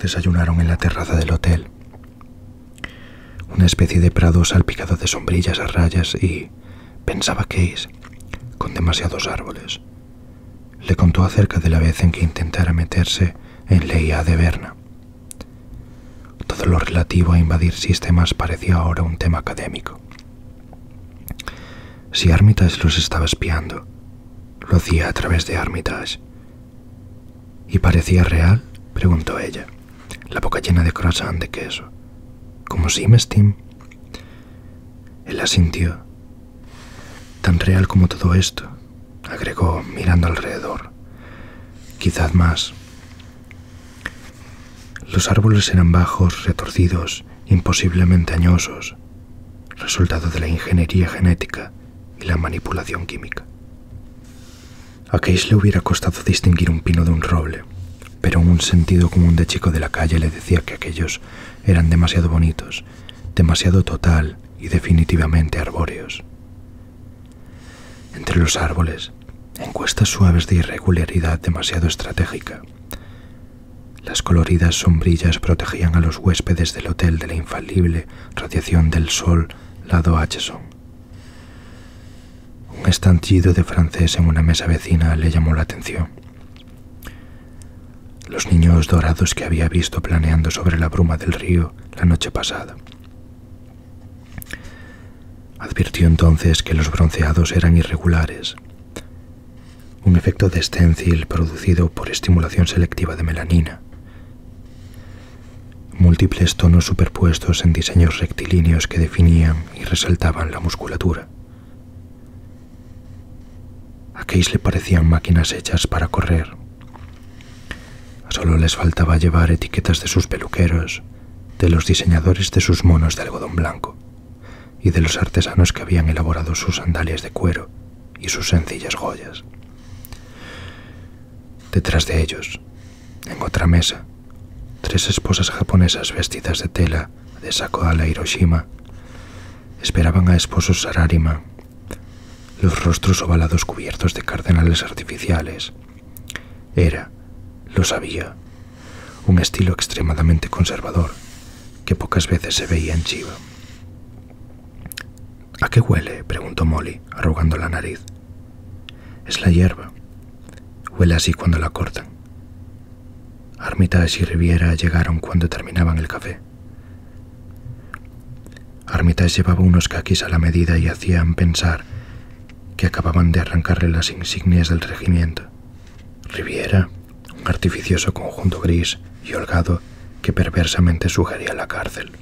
Desayunaron en la terraza del hotel, una especie de prado salpicado de sombrillas a rayas y, pensaba Case, con demasiados árboles. Le contó acerca de la vez en que intentara meterse en Leia de Berna. Todo lo relativo a invadir sistemas parecía ahora un tema académico. Si Armitage los estaba espiando, lo hacía a través de Armitage ¿Y parecía real? preguntó ella, la boca llena de croissant de queso. ¿Como sí, mestim? Él la sintió. Tan real como todo esto, agregó mirando alrededor. Quizás más. Los árboles eran bajos, retorcidos, imposiblemente añosos, resultado de la ingeniería genética y la manipulación química. A Case le hubiera costado distinguir un pino de un roble, pero un sentido común de chico de la calle le decía que aquellos eran demasiado bonitos, demasiado total y definitivamente arbóreos. Entre los árboles, encuestas suaves de irregularidad demasiado estratégica. Las coloridas sombrillas protegían a los huéspedes del hotel de la infalible radiación del sol lado son Un estanchido de francés en una mesa vecina le llamó la atención. Los niños dorados que había visto planeando sobre la bruma del río la noche pasada. Advirtió entonces que los bronceados eran irregulares, un efecto de stencil producido por estimulación selectiva de melanina, Múltiples tonos superpuestos en diseños rectilíneos que definían y resaltaban la musculatura. A Keys le parecían máquinas hechas para correr. Solo les faltaba llevar etiquetas de sus peluqueros, de los diseñadores de sus monos de algodón blanco y de los artesanos que habían elaborado sus sandalias de cuero y sus sencillas joyas. Detrás de ellos, en otra mesa, tres esposas japonesas vestidas de tela de saco Hiroshima esperaban a esposos Sararima, los rostros ovalados cubiertos de cardenales artificiales. Era, lo sabía, un estilo extremadamente conservador que pocas veces se veía en Chiba ¿A qué huele? preguntó Molly, arrugando la nariz. Es la hierba. Huele así cuando la cortan. Armitage y Riviera llegaron cuando terminaban el café. Armitage llevaba unos caquis a la medida y hacían pensar que acababan de arrancarle las insignias del regimiento. Riviera, un artificioso conjunto gris y holgado que perversamente sugería la cárcel.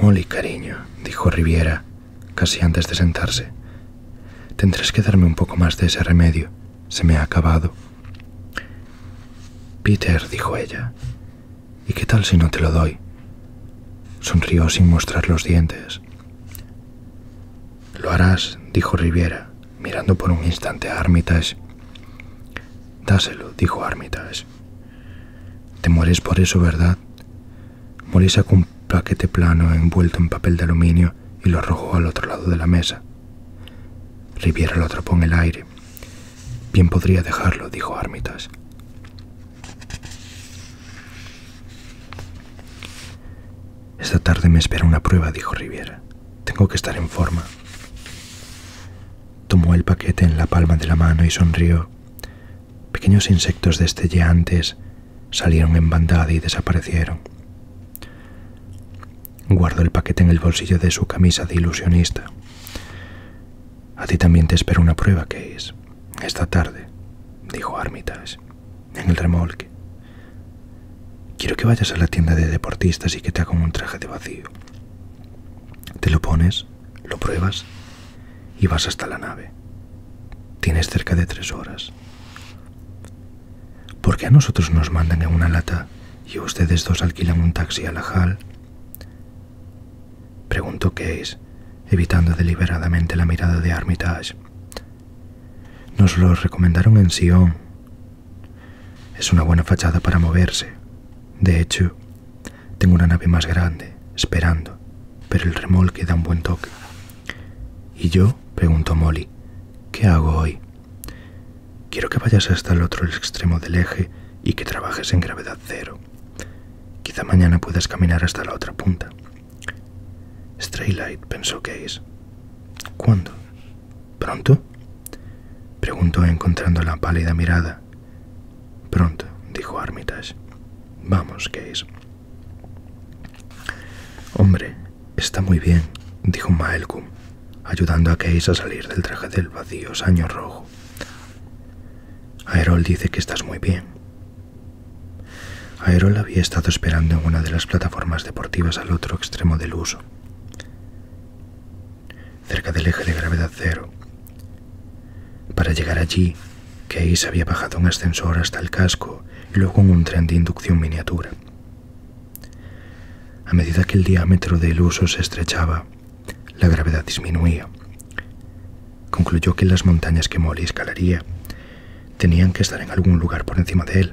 Molly, cariño, dijo Riviera, casi antes de sentarse. Tendrás que darme un poco más de ese remedio. Se me ha acabado. Peter, dijo ella. ¿Y qué tal si no te lo doy? Sonrió sin mostrar los dientes. Lo harás, dijo Riviera, mirando por un instante a Armitage. Dáselo, dijo Armitage. Te mueres por eso, ¿verdad? Morisa con un paquete plano envuelto en papel de aluminio y lo arrojó al otro lado de la mesa. Riviera lo atrapó en el aire. Bien podría dejarlo, dijo Armitage. Esta tarde me espera una prueba, dijo Riviera. Tengo que estar en forma. Tomó el paquete en la palma de la mano y sonrió. Pequeños insectos destelleantes salieron en bandada y desaparecieron. Guardó el paquete en el bolsillo de su camisa de ilusionista. A ti también te espero una prueba, es? Esta tarde, dijo Armitage, en el remolque. Quiero que vayas a la tienda de deportistas y que te hagan un traje de vacío. Te lo pones, lo pruebas y vas hasta la nave. Tienes cerca de tres horas. ¿Por qué a nosotros nos mandan en una lata y ustedes dos alquilan un taxi a la HAL? Preguntó Case, evitando deliberadamente la mirada de Armitage. Nos lo recomendaron en Sion, es una buena fachada para moverse. De hecho, tengo una nave más grande, esperando, pero el remolque da un buen toque. ¿Y yo? preguntó Molly. ¿Qué hago hoy? Quiero que vayas hasta el otro extremo del eje y que trabajes en gravedad cero. Quizá mañana puedas caminar hasta la otra punta. Straylight, pensó Case. ¿Cuándo? ¿Pronto? preguntó encontrando la pálida mirada. Pronto, dijo Armitage. Vamos, Case. Hombre, está muy bien, dijo Maelcum, ayudando a Case a salir del traje del vacío saño rojo. Aerol dice que estás muy bien. Aerol había estado esperando en una de las plataformas deportivas al otro extremo del uso cerca del eje de gravedad cero. Para llegar allí, se había bajado un ascensor hasta el casco y luego un tren de inducción miniatura. A medida que el diámetro del uso se estrechaba, la gravedad disminuía. Concluyó que las montañas que Molly escalaría tenían que estar en algún lugar por encima de él.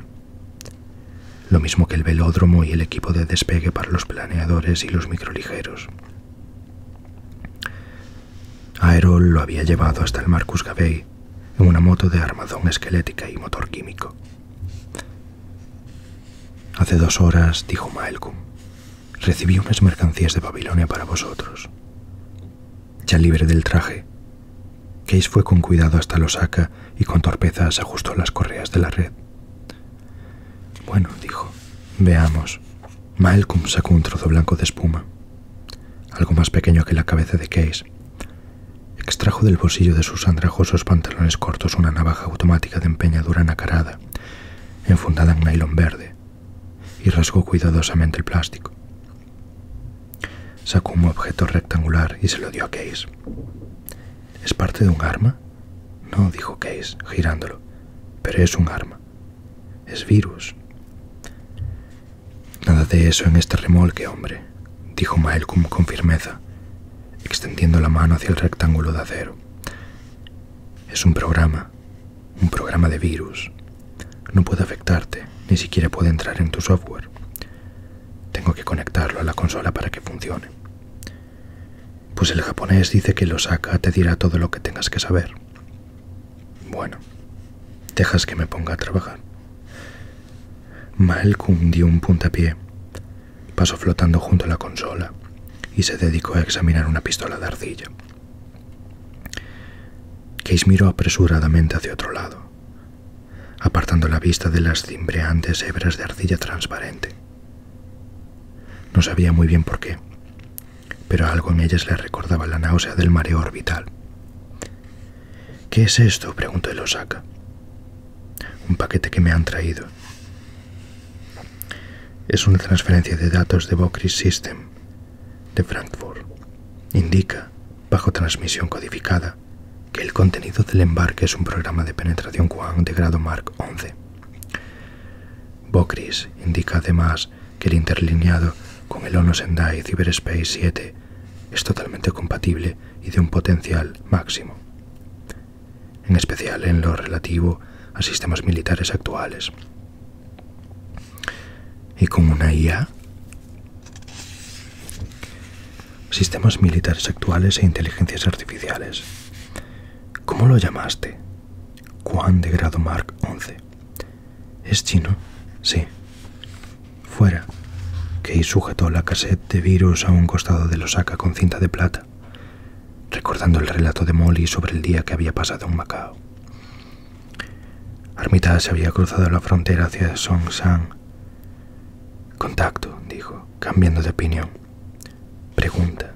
Lo mismo que el velódromo y el equipo de despegue para los planeadores y los micro ligeros. Aerol lo había llevado hasta el Marcus Gabey en una moto de armazón esquelética y motor químico. Hace dos horas, dijo Maelcum, recibí unas mercancías de Babilonia para vosotros. Ya libre del traje, Case fue con cuidado hasta Losaka y con torpeza se ajustó las correas de la red, bueno, dijo, veamos. Malcolm sacó un trozo blanco de espuma, algo más pequeño que la cabeza de Case. Extrajo del bolsillo de sus andrajosos pantalones cortos una navaja automática de empeñadura nacarada, enfundada en nylon verde, y rasgó cuidadosamente el plástico. Sacó un objeto rectangular y se lo dio a Case. ¿Es parte de un arma? No, dijo Case, girándolo, pero es un arma. Es virus. Nada de eso en este remolque, hombre, dijo Malcolm con firmeza, extendiendo la mano hacia el rectángulo de acero. Es un programa, un programa de virus. No puede afectarte, ni siquiera puede entrar en tu software. Tengo que conectarlo a la consola para que funcione. Pues el japonés dice que lo saca, te dirá todo lo que tengas que saber. Bueno, dejas que me ponga a trabajar. Malcolm dio un puntapié, pasó flotando junto a la consola y se dedicó a examinar una pistola de arcilla. Case miró apresuradamente hacia otro lado, apartando la vista de las cimbreantes hebras de arcilla transparente. No sabía muy bien por qué, pero algo en ellas le recordaba la náusea del mareo orbital. ¿Qué es esto? preguntó el Osaka. Un paquete que me han traído. Es una transferencia de datos de Bocris System de Frankfurt. Indica, bajo transmisión codificada, que el contenido del embarque es un programa de penetración Juan de grado Mark 11. Bocris indica además que el interlineado con el ONU Sendai Cyberspace 7 es totalmente compatible y de un potencial máximo, en especial en lo relativo a sistemas militares actuales. ¿Y con una IA? Sistemas militares actuales e inteligencias artificiales. ¿Cómo lo llamaste? Juan de grado Mark XI». ¿Es chino? Sí. Fuera. Kei sujetó la cassette de virus a un costado de Losaka con cinta de plata, recordando el relato de Molly sobre el día que había pasado en Macao. Armita se había cruzado la frontera hacia Songshan. Contacto, dijo, cambiando de opinión. Pregunta.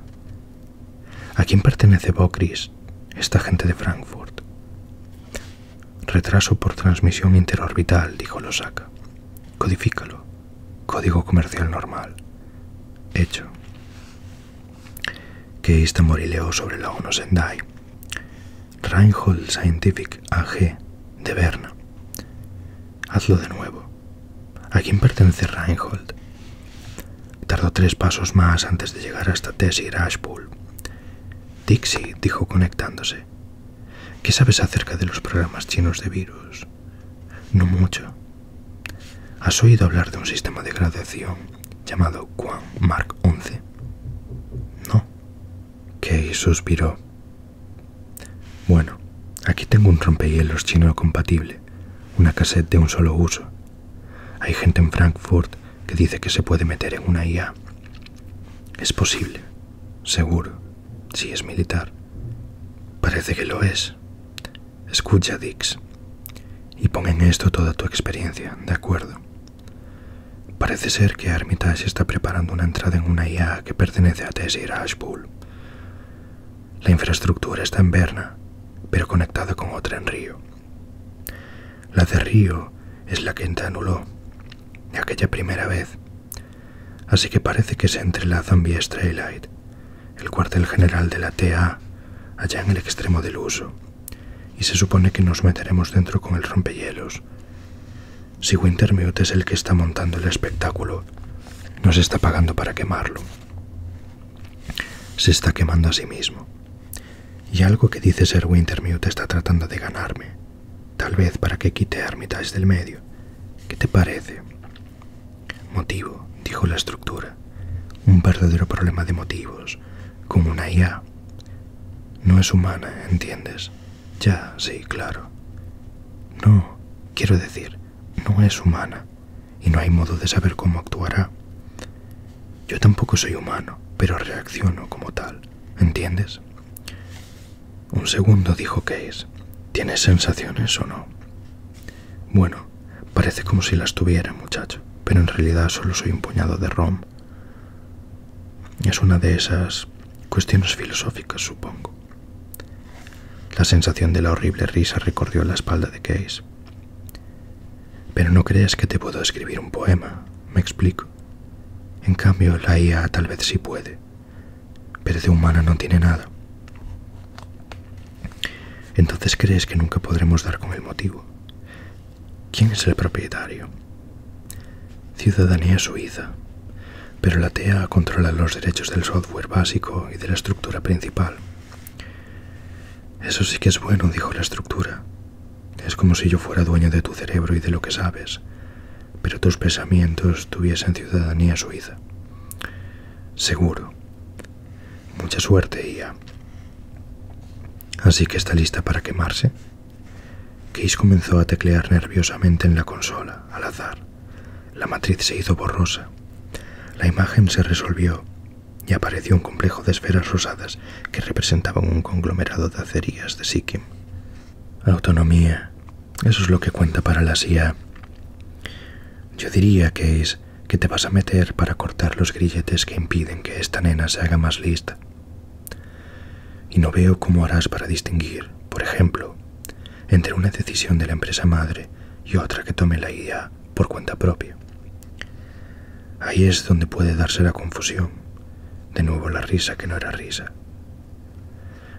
¿A quién pertenece Bocris, esta gente de Frankfurt? Retraso por transmisión interorbital, dijo Losaka. Codifícalo. Código comercial normal. Hecho. Que esta Morileo sobre la ONU Sendai. Reinhold Scientific AG de Berna. Hazlo de nuevo. ¿A quién pertenece Reinhold? Tardó tres pasos más antes de llegar hasta y Rashpool. Dixie dijo conectándose. ¿Qué sabes acerca de los programas chinos de virus? No mucho. ¿Has oído hablar de un sistema de graduación llamado Quan Mark 11? No. Kay suspiró. Bueno, aquí tengo un rompehielos chino compatible una cassette de un solo uso. Hay gente en Frankfurt que dice que se puede meter en una IA. Es posible, seguro, si es militar. Parece que lo es. Escucha, Dix, y pon en esto toda tu experiencia, ¿de acuerdo? Parece ser que Armitage está preparando una entrada en una IA que pertenece a y Ashbull. La infraestructura está en Berna, pero conectada con otra en Río. La de Río es la que de aquella primera vez. Así que parece que se entrelazan vía Straylight, el cuartel general de la TA, allá en el extremo del uso, y se supone que nos meteremos dentro con el rompehielos. Si Wintermute es el que está montando el espectáculo, nos está pagando para quemarlo. Se está quemando a sí mismo. Y algo que dice ser Wintermute está tratando de ganarme. Tal vez para que quite a del medio. ¿Qué te parece? Motivo, dijo la estructura. Un verdadero problema de motivos, como una IA. No es humana, ¿entiendes? Ya, sí, claro. No, quiero decir, no es humana y no hay modo de saber cómo actuará. Yo tampoco soy humano, pero reacciono como tal, ¿entiendes? Un segundo dijo Case. ¿Tienes sensaciones o no? Bueno, parece como si las tuviera, muchacho, pero en realidad solo soy un puñado de rom. Es una de esas cuestiones filosóficas, supongo. La sensación de la horrible risa recorrió la espalda de Case. Pero no creas que te puedo escribir un poema, me explico. En cambio, la IA tal vez sí puede, pero de humana no tiene nada. Entonces crees que nunca podremos dar con el motivo. ¿Quién es el propietario? Ciudadanía suiza, pero la TEA controla los derechos del software básico y de la estructura principal. Eso sí que es bueno, dijo la estructura. Es como si yo fuera dueño de tu cerebro y de lo que sabes, pero tus pensamientos tuviesen ciudadanía suiza. Seguro. Mucha suerte, Ia. Así que está lista para quemarse. Case comenzó a teclear nerviosamente en la consola, al azar. La matriz se hizo borrosa. La imagen se resolvió y apareció un complejo de esferas rosadas que representaban un conglomerado de acerías de Sikkim. Autonomía. Eso es lo que cuenta para la CIA. Yo diría, Case, que te vas a meter para cortar los grilletes que impiden que esta nena se haga más lista. Y no veo cómo harás para distinguir, por ejemplo, entre una decisión de la empresa madre y otra que tome la IA por cuenta propia. Ahí es donde puede darse la confusión, de nuevo la risa que no era risa.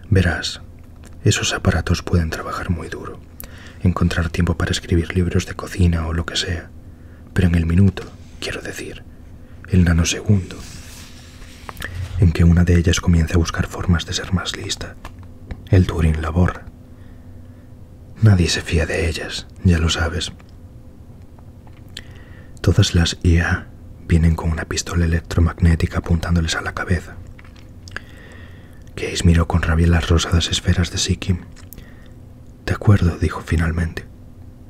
Verás, esos aparatos pueden trabajar muy duro, encontrar tiempo para escribir libros de cocina o lo que sea, pero en el minuto, quiero decir, el nanosegundo, en que una de ellas comienza a buscar formas de ser más lista, el Turing labor, Nadie se fía de ellas, ya lo sabes. Todas las IA vienen con una pistola electromagnética apuntándoles a la cabeza. Case miró con rabia las rosadas esferas de Sikkim. De acuerdo, dijo finalmente.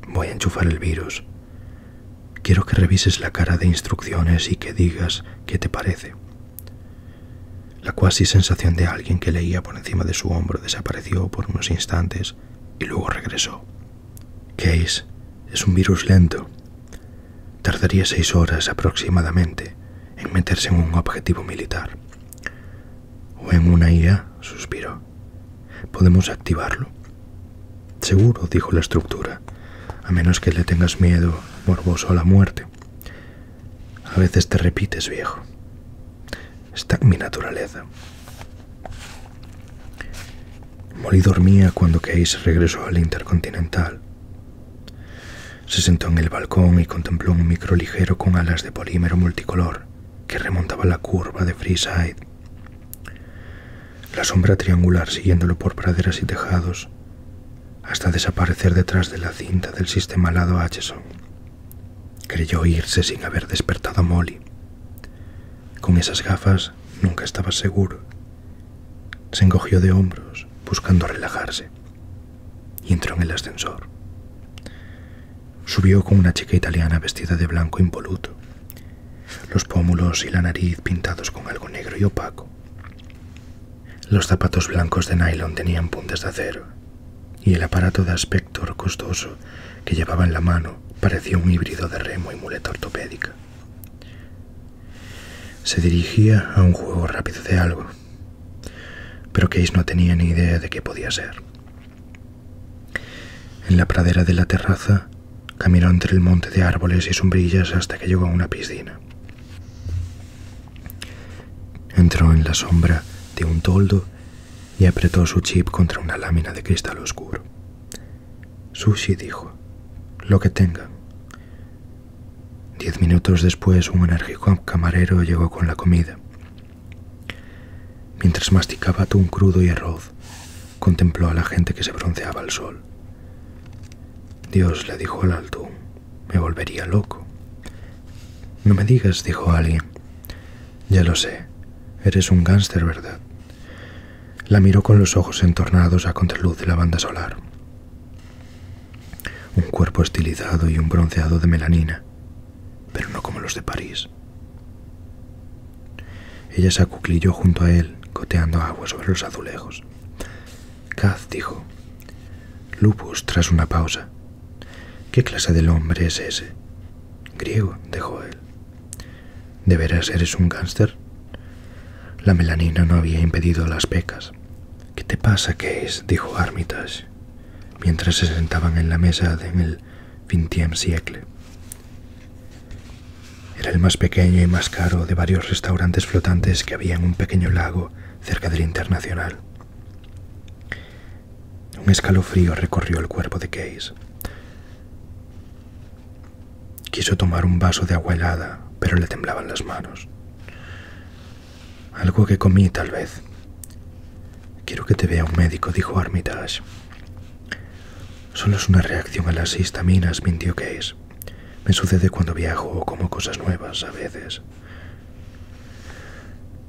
Voy a enchufar el virus. Quiero que revises la cara de instrucciones y que digas qué te parece. La cuasi sensación de alguien que leía por encima de su hombro desapareció por unos instantes y luego regresó. Case es un virus lento. Tardaría seis horas aproximadamente en meterse en un objetivo militar. O en una IA, suspiró. ¿Podemos activarlo? Seguro, dijo la estructura, a menos que le tengas miedo morboso a la muerte. A veces te repites, viejo. Está en mi naturaleza. Molly dormía cuando Case regresó al Intercontinental. Se sentó en el balcón y contempló un micro ligero con alas de polímero multicolor que remontaba la curva de Freeside. La sombra triangular siguiéndolo por praderas y tejados hasta desaparecer detrás de la cinta del sistema alado HSO. Creyó irse sin haber despertado a Molly. Con esas gafas nunca estaba seguro. Se encogió de hombros, buscando relajarse, y entró en el ascensor. Subió con una chica italiana vestida de blanco impoluto, los pómulos y la nariz pintados con algo negro y opaco. Los zapatos blancos de nylon tenían puntas de acero, y el aparato de aspecto costoso que llevaba en la mano parecía un híbrido de remo y muleta ortopédica. Se dirigía a un juego rápido de algo, pero Case no tenía ni idea de qué podía ser. En la pradera de la terraza, caminó entre el monte de árboles y sombrillas hasta que llegó a una piscina. Entró en la sombra de un toldo y apretó su chip contra una lámina de cristal oscuro. Sushi dijo, lo que tenga Diez minutos después un enérgico camarero llegó con la comida. Mientras masticaba atún crudo y arroz, contempló a la gente que se bronceaba al sol. Dios le dijo al alto me volvería loco. No me digas, dijo alguien. Ya lo sé, eres un gángster, ¿verdad? La miró con los ojos entornados a contraluz de la banda solar. Un cuerpo estilizado y un bronceado de melanina, pero no como los de París. Ella se acuclilló junto a él, coteando agua sobre los azulejos. Caz dijo, Lupus, tras una pausa, ¿Qué clase del hombre es ese? Griego, dijo él. ¿De veras eres un gánster? La melanina no había impedido las pecas. ¿Qué te pasa, es dijo Armitage, mientras se sentaban en la mesa de en el XXIe siècle Era el más pequeño y más caro de varios restaurantes flotantes que había en un pequeño lago cerca del Internacional. Un escalofrío recorrió el cuerpo de Case. Quiso tomar un vaso de agua helada, pero le temblaban las manos. Algo que comí, tal vez. Quiero que te vea un médico, dijo Armitage. Solo es una reacción a las histaminas, mintió Case. Me sucede cuando viajo o como cosas nuevas, a veces.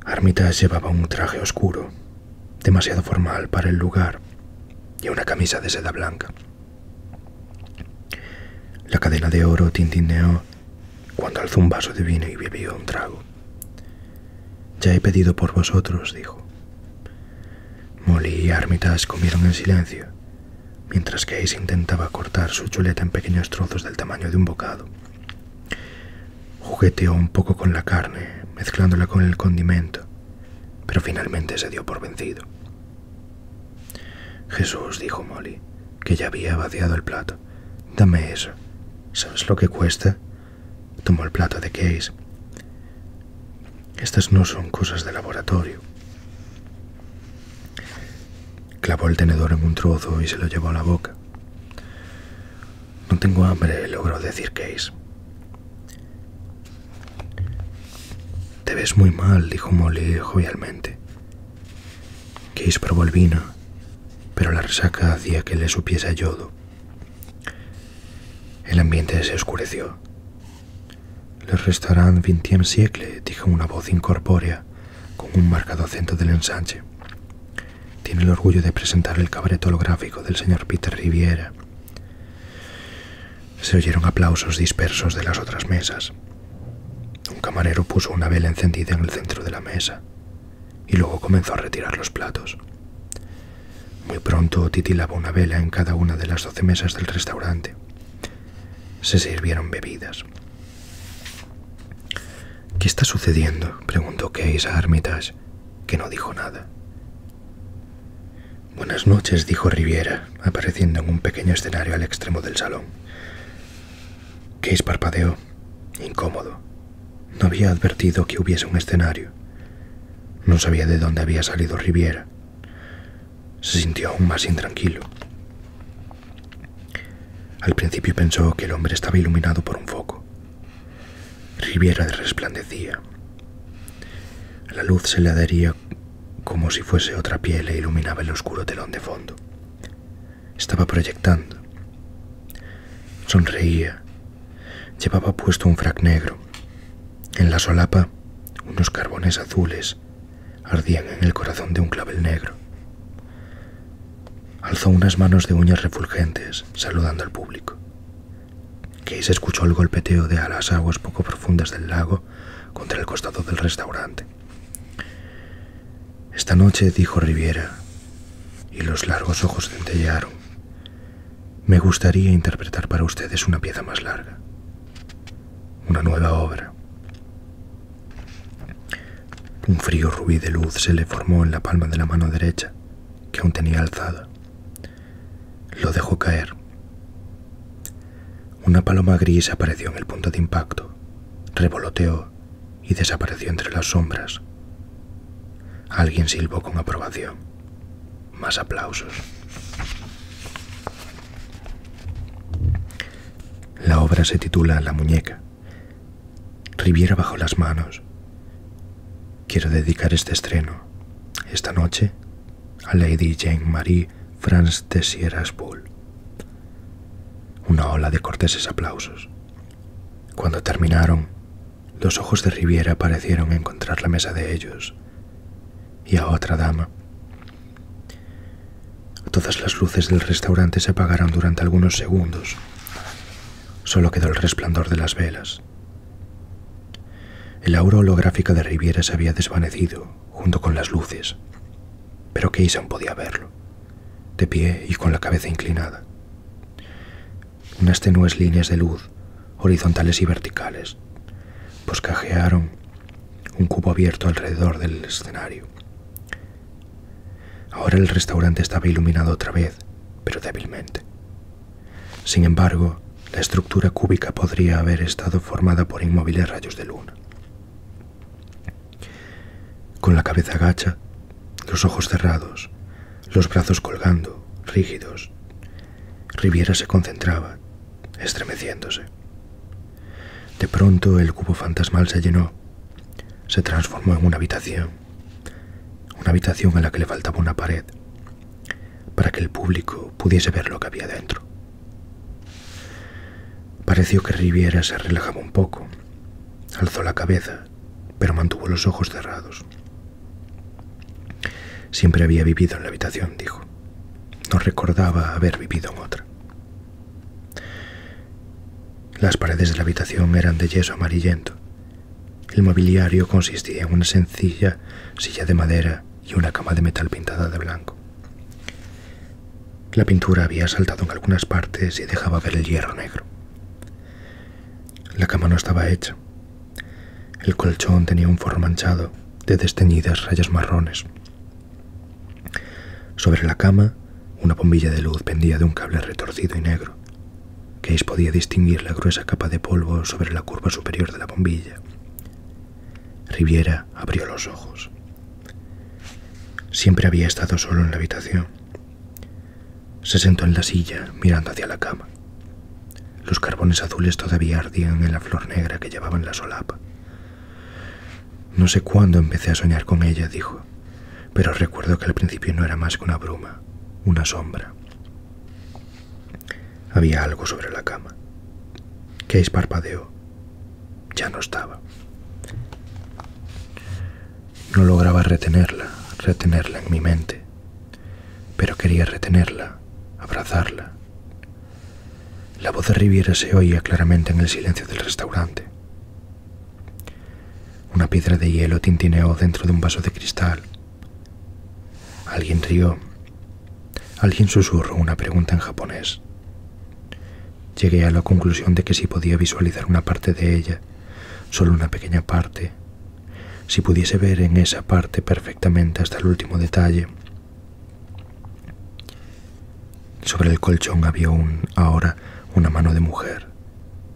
Armitage llevaba un traje oscuro, demasiado formal para el lugar, y una camisa de seda blanca. La cadena de oro tintineó cuando alzó un vaso de vino y bebió un trago. Ya he pedido por vosotros, dijo. Molly y Armitage comieron en silencio, mientras que intentaba cortar su chuleta en pequeños trozos del tamaño de un bocado. Jugueteó un poco con la carne, mezclándola con el condimento, pero finalmente se dio por vencido. Jesús, dijo Molly, que ya había vaciado el plato. Dame eso. ¿Sabes lo que cuesta? Tomó el plato de Case. Estas no son cosas de laboratorio. Clavó el tenedor en un trozo y se lo llevó a la boca. No tengo hambre, logró decir Case. Te ves muy mal, dijo Molly jovialmente. Case probó el vino, pero la resaca hacía que le supiese yodo. El ambiente se oscureció. Le restarán XXe siècle, dijo una voz incorpórea con un marcado acento del ensanche. Tiene el orgullo de presentar el cabaret holográfico del señor Peter Riviera. Se oyeron aplausos dispersos de las otras mesas. Un camarero puso una vela encendida en el centro de la mesa y luego comenzó a retirar los platos. Muy pronto titilaba una vela en cada una de las doce mesas del restaurante. Se sirvieron bebidas. ¿Qué está sucediendo? preguntó Case a Armitage, que no dijo nada. Buenas noches, dijo Riviera, apareciendo en un pequeño escenario al extremo del salón. Case parpadeó, incómodo. No había advertido que hubiese un escenario. No sabía de dónde había salido Riviera. Se sintió aún más intranquilo. Al principio pensó que el hombre estaba iluminado por un foco. Riviera resplandecía. La luz se le adhería como si fuese otra piel e iluminaba el oscuro telón de fondo. Estaba proyectando. Sonreía. Llevaba puesto un frac negro. En la solapa, unos carbones azules ardían en el corazón de un clavel negro. Alzó unas manos de uñas refulgentes, saludando al público. se escuchó el golpeteo de a las aguas poco profundas del lago contra el costado del restaurante. Esta noche, dijo Riviera, y los largos ojos centellaron, me gustaría interpretar para ustedes una pieza más larga, una nueva obra. Un frío rubí de luz se le formó en la palma de la mano derecha, que aún tenía alzada. Lo dejó caer. Una paloma gris apareció en el punto de impacto, revoloteó y desapareció entre las sombras. Alguien silbó con aprobación. Más aplausos. La obra se titula La muñeca Riviera bajo las manos. Quiero dedicar este estreno, esta noche, a Lady Jane Marie France de Sierras Una ola de corteses aplausos. Cuando terminaron, los ojos de Riviera parecieron encontrar la mesa de ellos y a otra dama. Todas las luces del restaurante se apagaron durante algunos segundos, sólo quedó el resplandor de las velas. El aura holográfica de Riviera se había desvanecido junto con las luces, pero Keyson podía verlo, de pie y con la cabeza inclinada. Unas tenues líneas de luz, horizontales y verticales, boscajearon un cubo abierto alrededor del escenario, Ahora el restaurante estaba iluminado otra vez, pero débilmente. Sin embargo, la estructura cúbica podría haber estado formada por inmóviles rayos de luna. Con la cabeza agacha, los ojos cerrados, los brazos colgando, rígidos, Riviera se concentraba, estremeciéndose. De pronto el cubo fantasmal se llenó, se transformó en una habitación, una habitación a la que le faltaba una pared para que el público pudiese ver lo que había dentro. Pareció que Riviera se relajaba un poco, alzó la cabeza, pero mantuvo los ojos cerrados. Siempre había vivido en la habitación, dijo. No recordaba haber vivido en otra. Las paredes de la habitación eran de yeso amarillento. El mobiliario consistía en una sencilla silla de madera y una cama de metal pintada de blanco. La pintura había saltado en algunas partes y dejaba ver el hierro negro. La cama no estaba hecha. El colchón tenía un forro manchado de desteñidas rayas marrones. Sobre la cama, una bombilla de luz pendía de un cable retorcido y negro. Case podía distinguir la gruesa capa de polvo sobre la curva superior de la bombilla. Riviera abrió los ojos. Siempre había estado solo en la habitación. Se sentó en la silla, mirando hacia la cama. Los carbones azules todavía ardían en la flor negra que llevaba en la solapa. No sé cuándo empecé a soñar con ella, dijo pero recuerdo que al principio no era más que una bruma, una sombra. Había algo sobre la cama. Que parpadeó. Ya no estaba. No lograba retenerla, retenerla en mi mente, pero quería retenerla, abrazarla. La voz de Riviera se oía claramente en el silencio del restaurante. Una piedra de hielo tintineó dentro de un vaso de cristal. Alguien rió. Alguien susurró una pregunta en japonés. Llegué a la conclusión de que si podía visualizar una parte de ella, solo una pequeña parte, si pudiese ver en esa parte perfectamente hasta el último detalle. Sobre el colchón había un, ahora una mano de mujer,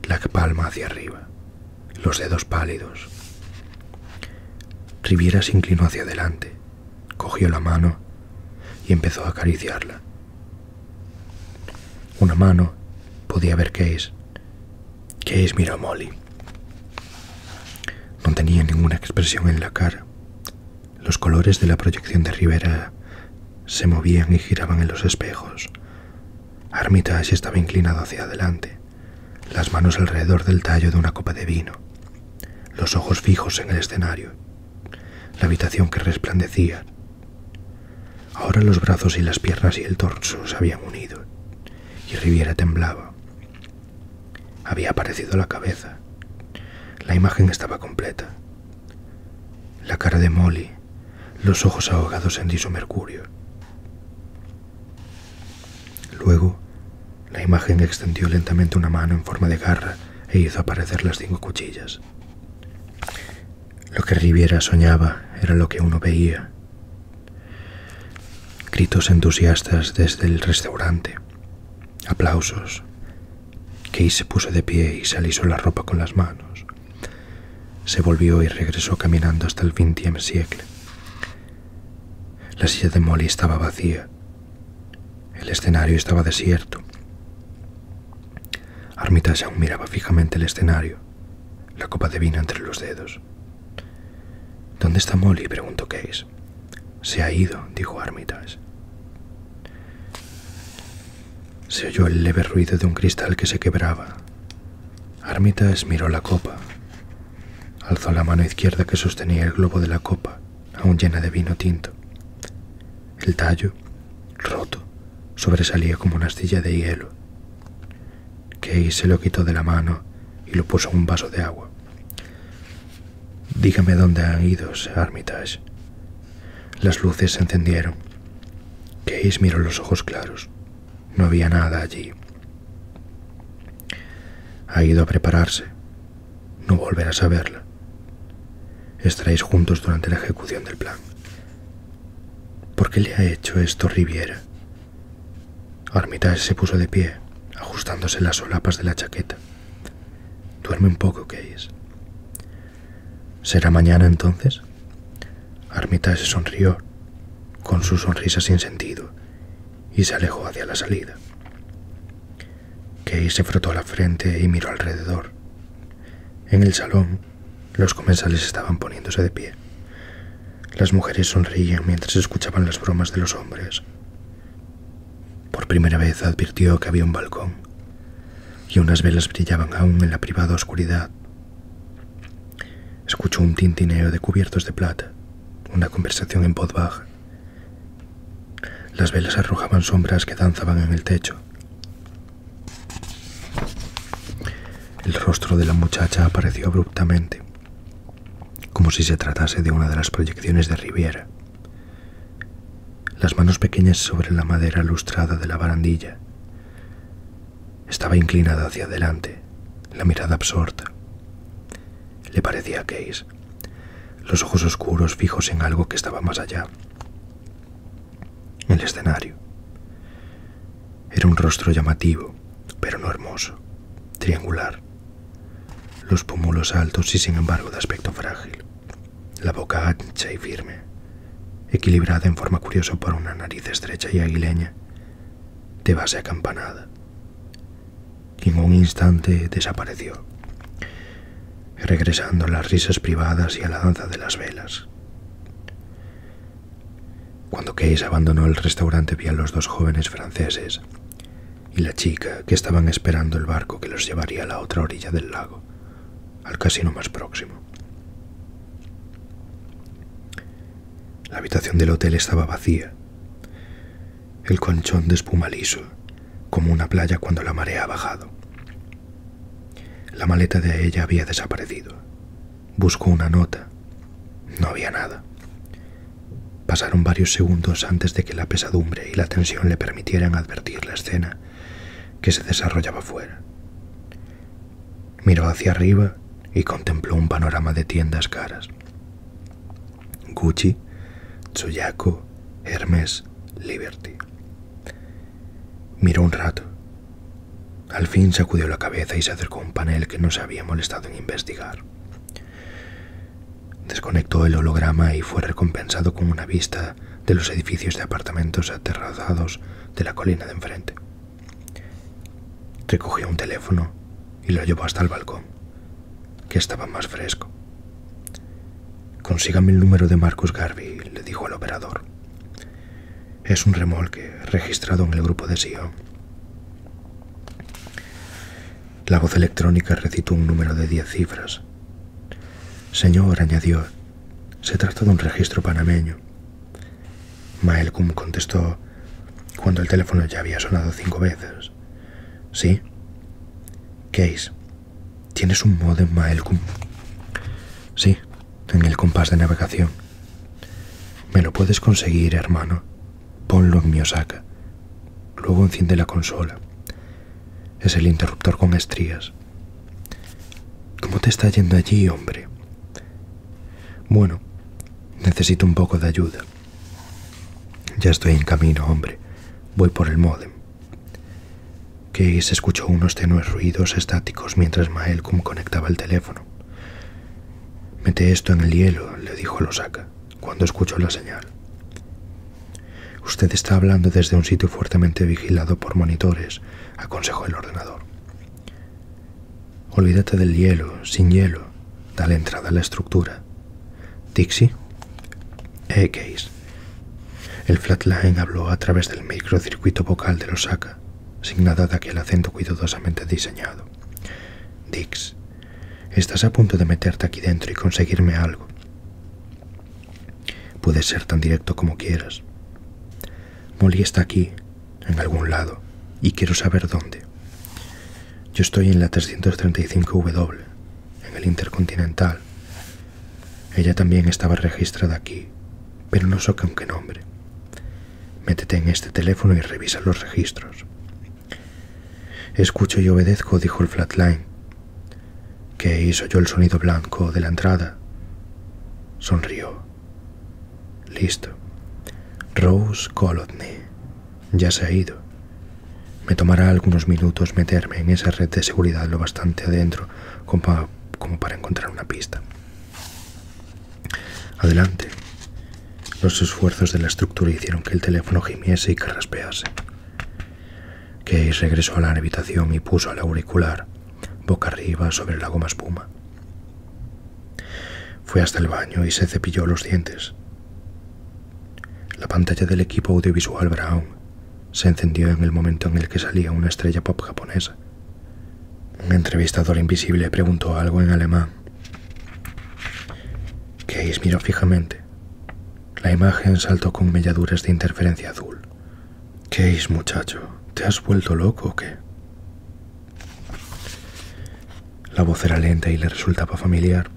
la palma hacia arriba los dedos pálidos. Riviera se inclinó hacia adelante, cogió la mano y empezó a acariciarla. Una mano podía ver qué es. Qué es miró Molly. No tenía ninguna expresión en la cara. Los colores de la proyección de Rivera se movían y giraban en los espejos, Armitage estaba inclinado hacia adelante, las manos alrededor del tallo de una copa de vino, los ojos fijos en el escenario, la habitación que resplandecía. Ahora los brazos y las piernas y el torso se habían unido, y Riviera temblaba. Había aparecido la cabeza. La imagen estaba completa. La cara de Molly, los ojos ahogados en diso mercurio. Luego, la imagen extendió lentamente una mano en forma de garra e hizo aparecer las cinco cuchillas. Lo que Riviera soñaba era lo que uno veía. Gritos entusiastas desde el restaurante, aplausos. Key se puso de pie y se alisó la ropa con las manos. Se volvió y regresó caminando hasta el xxie siglo. La silla de Molly estaba vacía. El escenario estaba desierto. Armitage aún miraba fijamente el escenario, la copa de vino entre los dedos. ¿Dónde está Molly? preguntó Case. Se ha ido, dijo Armitage. Se oyó el leve ruido de un cristal que se quebraba. Armitage miró la copa. Alzó la mano izquierda que sostenía el globo de la copa, aún llena de vino tinto. El tallo, roto, sobresalía como una astilla de hielo. Case se lo quitó de la mano y lo puso en un vaso de agua. Dígame dónde han ido, Armitage. Las luces se encendieron. Case miró los ojos claros, no había nada allí. Ha ido a prepararse. No volverá a saberla. Estaréis juntos durante la ejecución del plan. ¿Por qué le ha hecho esto Riviera? Armitage se puso de pie, ajustándose las solapas de la chaqueta. Duerme un poco, Case. ¿Será mañana entonces? Armita se sonrió, con su sonrisa sin sentido, y se alejó hacia la salida. Kay se frotó la frente y miró alrededor. En el salón, los comensales estaban poniéndose de pie. Las mujeres sonreían mientras escuchaban las bromas de los hombres. Por primera vez advirtió que había un balcón, y unas velas brillaban aún en la privada oscuridad Escuchó un tintineo de cubiertos de plata, una conversación en voz baja. Las velas arrojaban sombras que danzaban en el techo. El rostro de la muchacha apareció abruptamente, como si se tratase de una de las proyecciones de Riviera. Las manos pequeñas sobre la madera lustrada de la barandilla estaba inclinada hacia adelante, la mirada absorta. Le parecía a Case, los ojos oscuros fijos en algo que estaba más allá. El escenario. Era un rostro llamativo, pero no hermoso, triangular. Los pómulos altos y sin embargo de aspecto frágil. La boca ancha y firme, equilibrada en forma curiosa por una nariz estrecha y aguileña de base acampanada, y en un instante desapareció, regresando a las risas privadas y a la danza de las velas. Cuando Case abandonó el restaurante vi a los dos jóvenes franceses y la chica que estaban esperando el barco que los llevaría a la otra orilla del lago, al casino más próximo. La habitación del hotel estaba vacía. El colchón de espuma liso, como una playa cuando la marea ha bajado. La maleta de ella había desaparecido. Buscó una nota. No había nada. Pasaron varios segundos antes de que la pesadumbre y la tensión le permitieran advertir la escena que se desarrollaba fuera. Miró hacia arriba y contempló un panorama de tiendas caras. Gucci, Tsuyaku, Hermes, Liberty. Miró un rato. Al fin sacudió la cabeza y se acercó a un panel que no se había molestado en investigar. Desconectó el holograma y fue recompensado con una vista de los edificios de apartamentos aterrazados de la colina de enfrente. Recogió un teléfono y lo llevó hasta el balcón, que estaba más fresco. Consígame el número de Marcus Garvey, le dijo el operador. Es un remolque registrado en el grupo de Sion. La voz electrónica recitó un número de diez cifras. Señor, añadió, se trata de un registro panameño. Maelcum contestó cuando el teléfono ya había sonado cinco veces. ¿Sí? Case, ¿tienes un modem Maelkum? Sí, en el compás de navegación. Me lo puedes conseguir, hermano. Ponlo en mi Osaka. Luego enciende la consola. Es el interruptor con estrías. ¿Cómo te está yendo allí, hombre? Bueno, Necesito un poco de ayuda. Ya estoy en camino, hombre. Voy por el módem. se escuchó unos tenues ruidos estáticos mientras Maelcum conectaba el teléfono. Mete esto en el hielo, le dijo Losaka, cuando escuchó la señal. Usted está hablando desde un sitio fuertemente vigilado por monitores, aconsejó el ordenador. Olvídate del hielo, sin hielo. Dale entrada a la estructura. Dixie. e El flatline habló a través del microcircuito vocal de Osaka, sin nada de aquel acento cuidadosamente diseñado. Dix, estás a punto de meterte aquí dentro y conseguirme algo. Puedes ser tan directo como quieras. Molly está aquí, en algún lado, y quiero saber dónde. Yo estoy en la 335W, en el Intercontinental. Ella también estaba registrada aquí, pero no sé con qué nombre. Métete en este teléfono y revisa los registros. Escucho y obedezco, dijo el flatline, ¿Qué hizo yo el sonido blanco de la entrada. Sonrió. Listo. Rose Colodny. ya se ha ido. Me tomará algunos minutos meterme en esa red de seguridad lo bastante adentro como para, encontrar una pista. Adelante. Los esfuerzos de la estructura hicieron que el teléfono gimiese y que raspease. regresó a la habitación y puso el auricular boca arriba sobre la goma espuma. Fue hasta el baño y se cepilló los dientes. La pantalla del equipo audiovisual Brown se encendió en el momento en el que salía una estrella pop japonesa. Un entrevistador invisible preguntó algo en alemán. Keis miró fijamente. La imagen saltó con melladuras de interferencia azul. es, muchacho, ¿te has vuelto loco o qué? La voz era lenta y le resultaba familiar.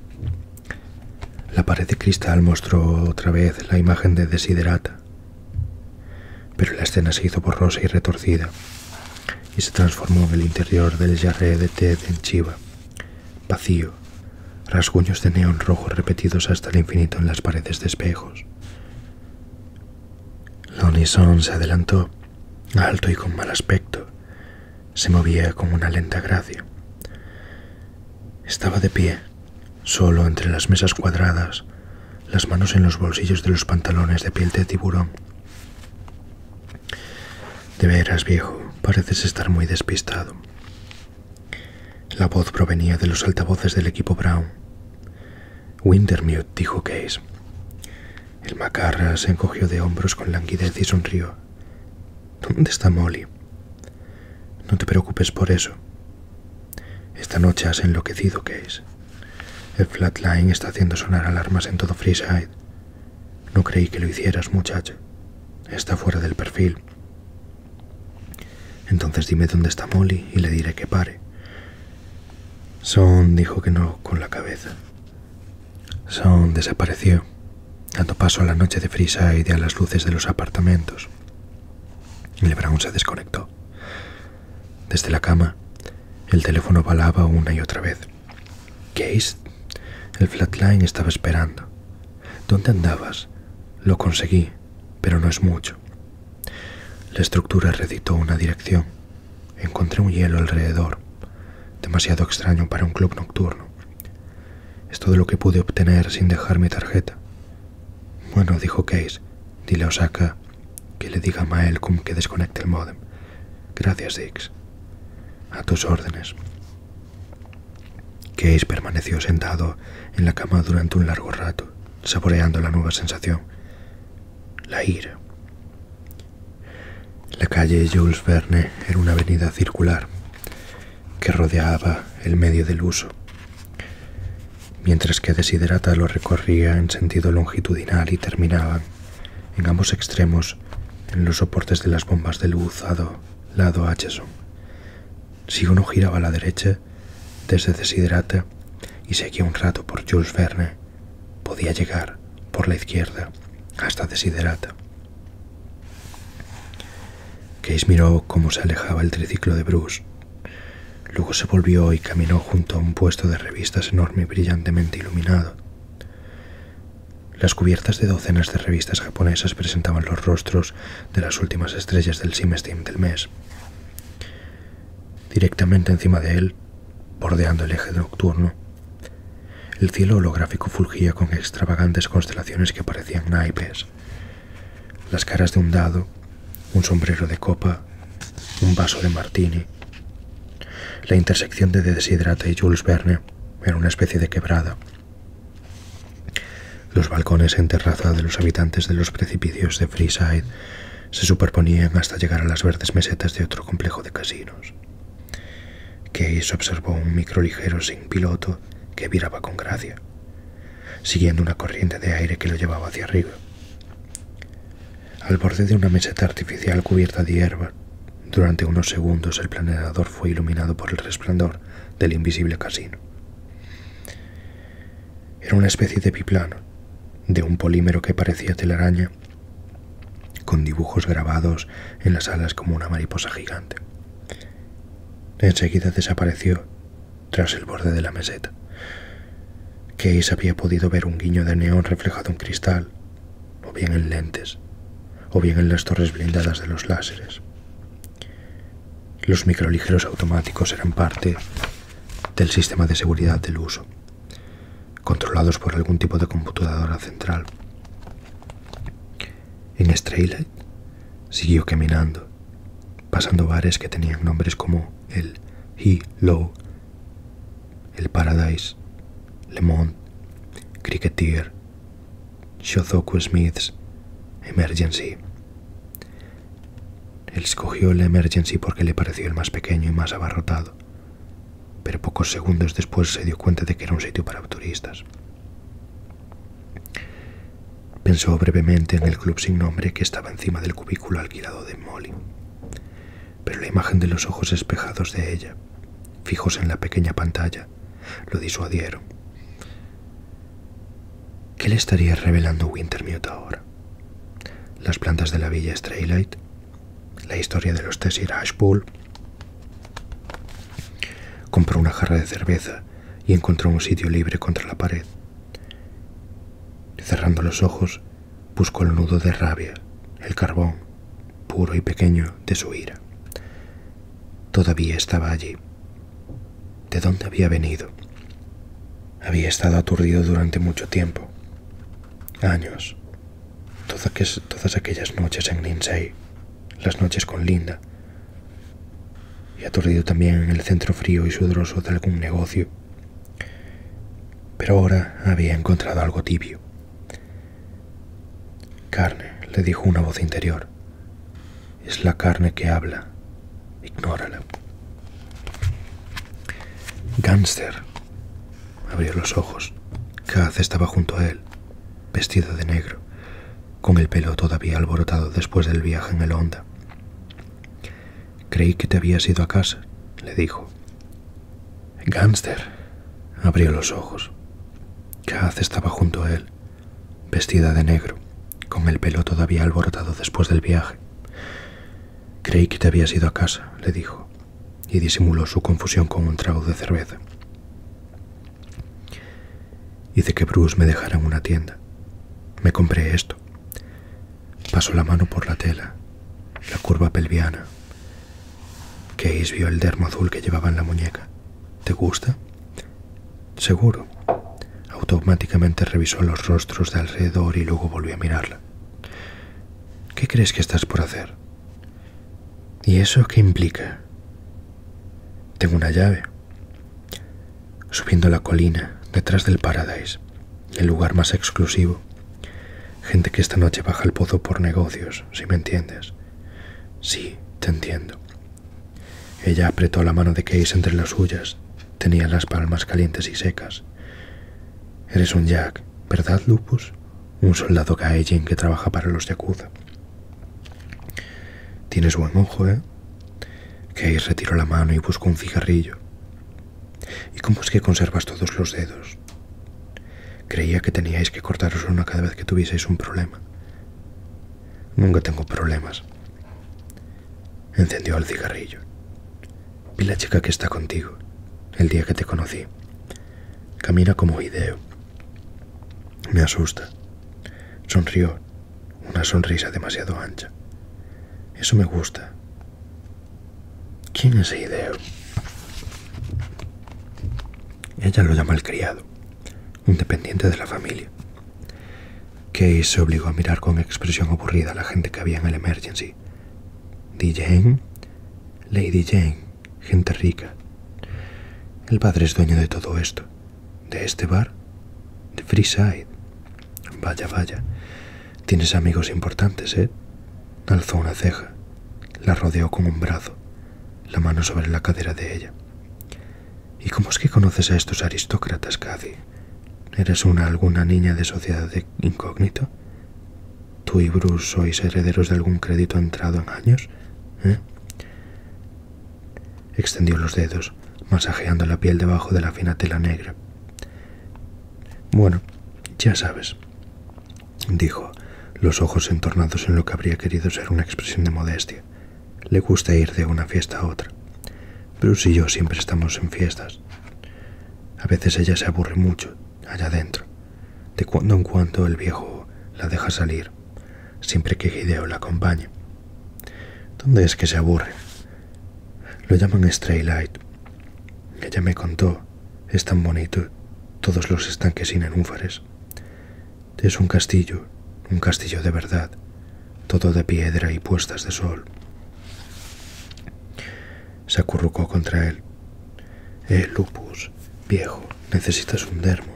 La pared de cristal mostró otra vez la imagen de Desiderata, pero la escena se hizo borrosa y retorcida y se transformó en el interior del jarré de Ted en chiva, vacío, rasguños de neón rojo repetidos hasta el infinito en las paredes de espejos. La Unison se adelantó alto y con mal aspecto, se movía con una lenta gracia. Estaba de pie, solo entre las mesas cuadradas, las manos en los bolsillos de los pantalones de piel de tiburón. De veras, viejo, pareces estar muy despistado. La voz provenía de los altavoces del equipo Brown. Wintermute, dijo Case. El macarra se encogió de hombros con languidez y sonrió. ¿Dónde está Molly? No te preocupes por eso. Esta noche has enloquecido, es. El Flatline está haciendo sonar alarmas en todo Freeside. No creí que lo hicieras, muchacho. Está fuera del perfil. Entonces dime dónde está Molly y le diré que pare. Son dijo que no con la cabeza. Sound desapareció, dando paso a la noche de frisa y a las luces de los apartamentos. El se desconectó. Desde la cama, el teléfono balaba una y otra vez. Case, el flatline estaba esperando. ¿Dónde andabas? Lo conseguí, pero no es mucho. La estructura recitó una dirección Encontré un hielo alrededor, demasiado extraño para un club nocturno. Es todo lo que pude obtener sin dejar mi tarjeta. Bueno, dijo Case, dile a Osaka que le diga a malcolm que desconecte el módem. Gracias, Dix. A tus órdenes. Case permaneció sentado en la cama durante un largo rato, saboreando la nueva sensación. La ira. La calle Jules Verne era una avenida circular que rodeaba el medio del uso, mientras que Desiderata lo recorría en sentido longitudinal y terminaba, en ambos extremos en los soportes de las bombas del buzado lado Acheson. Si uno giraba a la derecha, desde Desiderata y seguía un rato por Jules Verne, Podía llegar por la izquierda hasta Desiderata. Case miró cómo se alejaba el triciclo de Bruce. Luego se volvió y caminó junto a un puesto de revistas enorme y brillantemente iluminado. Las cubiertas de docenas de revistas japonesas presentaban los rostros de las últimas estrellas del simestín del mes. Directamente encima de él bordeando el eje nocturno. El cielo holográfico fulgía con extravagantes constelaciones que parecían naipes. Las caras de un dado, un sombrero de copa, un vaso de martini. La intersección de Deshidrata y Jules Verne era una especie de quebrada. Los balcones en terraza de los habitantes de los precipicios de Freeside se superponían hasta llegar a las verdes mesetas de otro complejo de casinos. Que Case observó un micro ligero sin piloto que viraba con gracia, siguiendo una corriente de aire que lo llevaba hacia arriba. Al borde de una meseta artificial cubierta de hierba, durante unos segundos el planeador fue iluminado por el resplandor del invisible casino. Era una especie de biplano, de un polímero que parecía telaraña con dibujos grabados en las alas como una mariposa gigante. Enseguida desapareció tras el borde de la meseta. Case había podido ver un guiño de neón reflejado en cristal, o bien en lentes, o bien en las torres blindadas de los láseres. Los microligeros automáticos eran parte del sistema de seguridad del uso, controlados por algún tipo de computadora central. En Straylight siguió caminando, pasando bares que tenían nombres como el He Low, el Paradise, Le Monde, Cricketeer, Shozoku Smiths, Emergency. Él escogió el Emergency porque le pareció el más pequeño y más abarrotado pero pocos segundos después se dio cuenta de que era un sitio para turistas. Pensó brevemente en el club sin nombre que estaba encima del cubículo alquilado de Molly, pero la imagen de los ojos espejados de ella, fijos en la pequeña pantalla, lo disuadieron. ¿Qué le estaría revelando Wintermute ahora? Las plantas de la villa Straylight, la historia de los Tessir Ashpool. Compró una jarra de cerveza y encontró un sitio libre contra la pared. Cerrando los ojos, buscó el nudo de rabia, el carbón, puro y pequeño, de su ira. Todavía estaba allí. ¿De dónde había venido? Había estado aturdido durante mucho tiempo, años, todas aquellas noches en Lindsay, las noches con Linda, y aturdido también en el centro frío y sudoroso de algún negocio. Pero ahora había encontrado algo tibio. Carne, le dijo una voz interior. Es la carne que habla. Ignórala. Gánster, Abrió los ojos. Kaz estaba junto a él, vestida de negro, con el pelo todavía alborotado después del viaje en el Honda. Creí que te habías ido a casa, le dijo. Gánster. Abrió los ojos. Kaz estaba junto a él, vestida de negro, con el pelo todavía alborotado después del viaje. Creí que te habías ido a casa, le dijo y disimuló su confusión con un trago de cerveza. Hice que Bruce me dejara en una tienda. Me compré esto. Pasó la mano por la tela, la curva pelviana. Case vio el dermo azul que llevaba en la muñeca. ¿Te gusta? Seguro. Automáticamente revisó los rostros de alrededor y luego volvió a mirarla. ¿Qué crees que estás por hacer? ¿Y eso qué implica? Tengo una llave. Subiendo la colina, detrás del Paradise, el lugar más exclusivo. Gente que esta noche baja al pozo por negocios, si me entiendes. Sí, te entiendo. Ella apretó la mano de Case entre las suyas. Tenía las palmas calientes y secas. Eres un Jack, ¿verdad, Lupus? Un soldado en que trabaja para los Yakuza. Tienes buen ojo, ¿eh? que retiró la mano y buscó un cigarrillo. ¿Y cómo es que conservas todos los dedos? Creía que teníais que cortaros uno cada vez que tuvieseis un problema. Nunca tengo problemas. Encendió el cigarrillo. Vi la chica que está contigo, el día que te conocí. Camina como video. Me asusta. Sonrió, una sonrisa demasiado ancha. Eso me gusta. ¿Quién es Hideo? Ella lo llama el criado, un dependiente de la familia. Que se obligó a mirar con expresión aburrida a la gente que había en el emergency. DJ Jane, Lady Jane, gente rica. El padre es dueño de todo esto, de este bar, de Freeside. Vaya, vaya, tienes amigos importantes, ¿eh? Alzó una ceja, la rodeó con un brazo, la mano sobre la cadera de ella. ¿Y cómo es que conoces a estos aristócratas, Cathy? ¿Eres una alguna niña de sociedad de incógnito? ¿Tú y Bruce sois herederos de algún crédito entrado en años? ¿Eh? Extendió los dedos, masajeando la piel debajo de la fina tela negra. Bueno, ya sabes, dijo, los ojos entornados en lo que habría querido ser una expresión de modestia. Le gusta ir de una fiesta a otra. Bruce y yo siempre estamos en fiestas. A veces ella se aburre mucho, allá dentro. De cuando en cuando el viejo la deja salir, siempre que Hideo la acompañe. ¿Dónde es que se aburre? Lo llaman Straylight Ella me contó, es tan bonito, todos los estanques nenúfares Es un castillo, un castillo de verdad, todo de piedra y puestas de sol. Se acurrucó contra él, eh, Lupus, viejo, necesitas un dermo.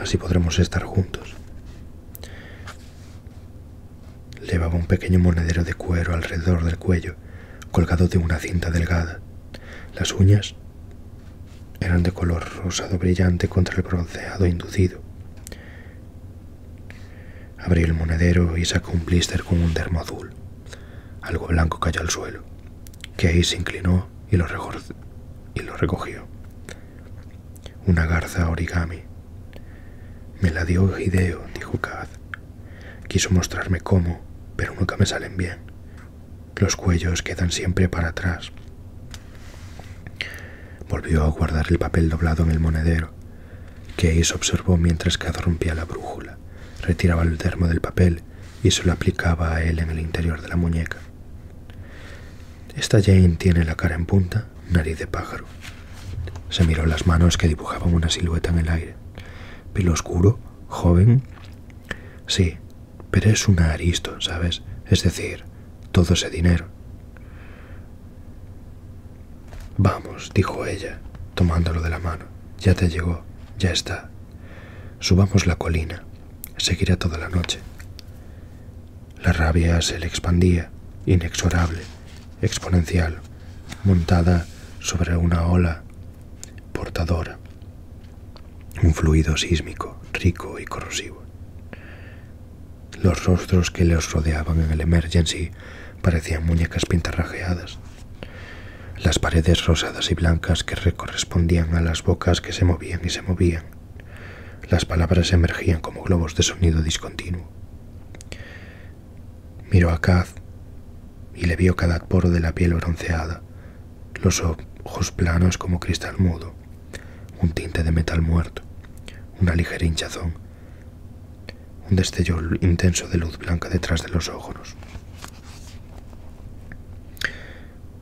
Así podremos estar juntos. Llevaba un pequeño monedero de cuero alrededor del cuello, colgado de una cinta delgada. Las uñas eran de color rosado brillante contra el bronceado inducido. Abrió el monedero y sacó un blister con un dermo azul. Algo blanco cayó al suelo. ahí se inclinó y lo, y recogió. Una garza origami. Me la dio Hideo, dijo Kaz. Quiso mostrarme cómo, pero nunca me salen bien. Los cuellos quedan siempre para atrás. Volvió a guardar el papel doblado en el monedero. Case observó mientras Kaz rompía la brújula, retiraba el termo del papel y se lo aplicaba a él en el interior de la muñeca. Esta Jane tiene la cara en punta, nariz de pájaro. Se miró las manos que dibujaban una silueta en el aire. Pelo oscuro, joven. Sí, pero es un aristo, ¿sabes? Es decir, todo ese dinero. Vamos, dijo ella, tomándolo de la mano. Ya te llegó, ya está. Subamos la colina. Seguirá toda la noche. La rabia se le expandía, inexorable, exponencial, montada sobre una ola portadora, un fluido sísmico, rico y corrosivo. Los rostros que los rodeaban en el emergency parecían muñecas pintarrajeadas las paredes rosadas y blancas que correspondían a las bocas que se movían y se movían. Las palabras emergían como globos de sonido discontinuo. Miró a Kaz y le vio cada poro de la piel bronceada, los ojos planos como cristal mudo, un tinte de metal muerto, una ligera hinchazón, un destello intenso de luz blanca detrás de los ojos.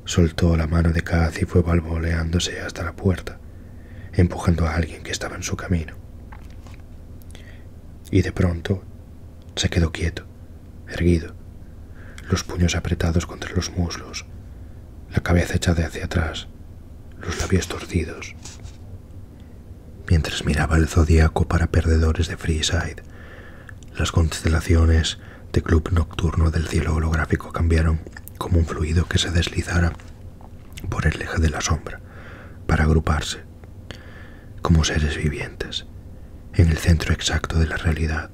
Soltó la mano de Kaz y fue balboleándose hasta la puerta, empujando a alguien que estaba en su camino. Y de pronto se quedó quieto, erguido, los puños apretados contra los muslos, la cabeza echada hacia atrás, los labios torcidos. Mientras miraba el zodiaco para perdedores de Freeside, las constelaciones de club nocturno del cielo holográfico cambiaron como un fluido que se deslizara por el eje de la sombra para agruparse como seres vivientes en el centro exacto de la realidad.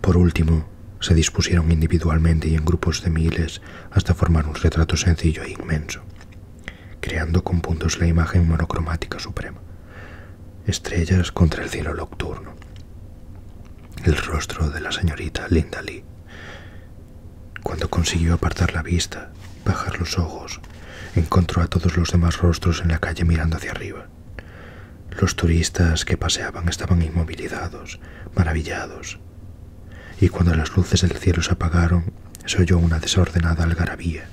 Por último, se dispusieron individualmente y en grupos de miles hasta formar un retrato sencillo e inmenso, creando con puntos la imagen monocromática suprema, estrellas contra el cielo nocturno. El rostro de la señorita Linda Lee. Cuando consiguió apartar la vista, bajar los ojos, encontró a todos los demás rostros en la calle mirando hacia arriba. Los turistas que paseaban estaban inmovilizados, maravillados. Y cuando las luces del cielo se apagaron, se oyó una desordenada algarabía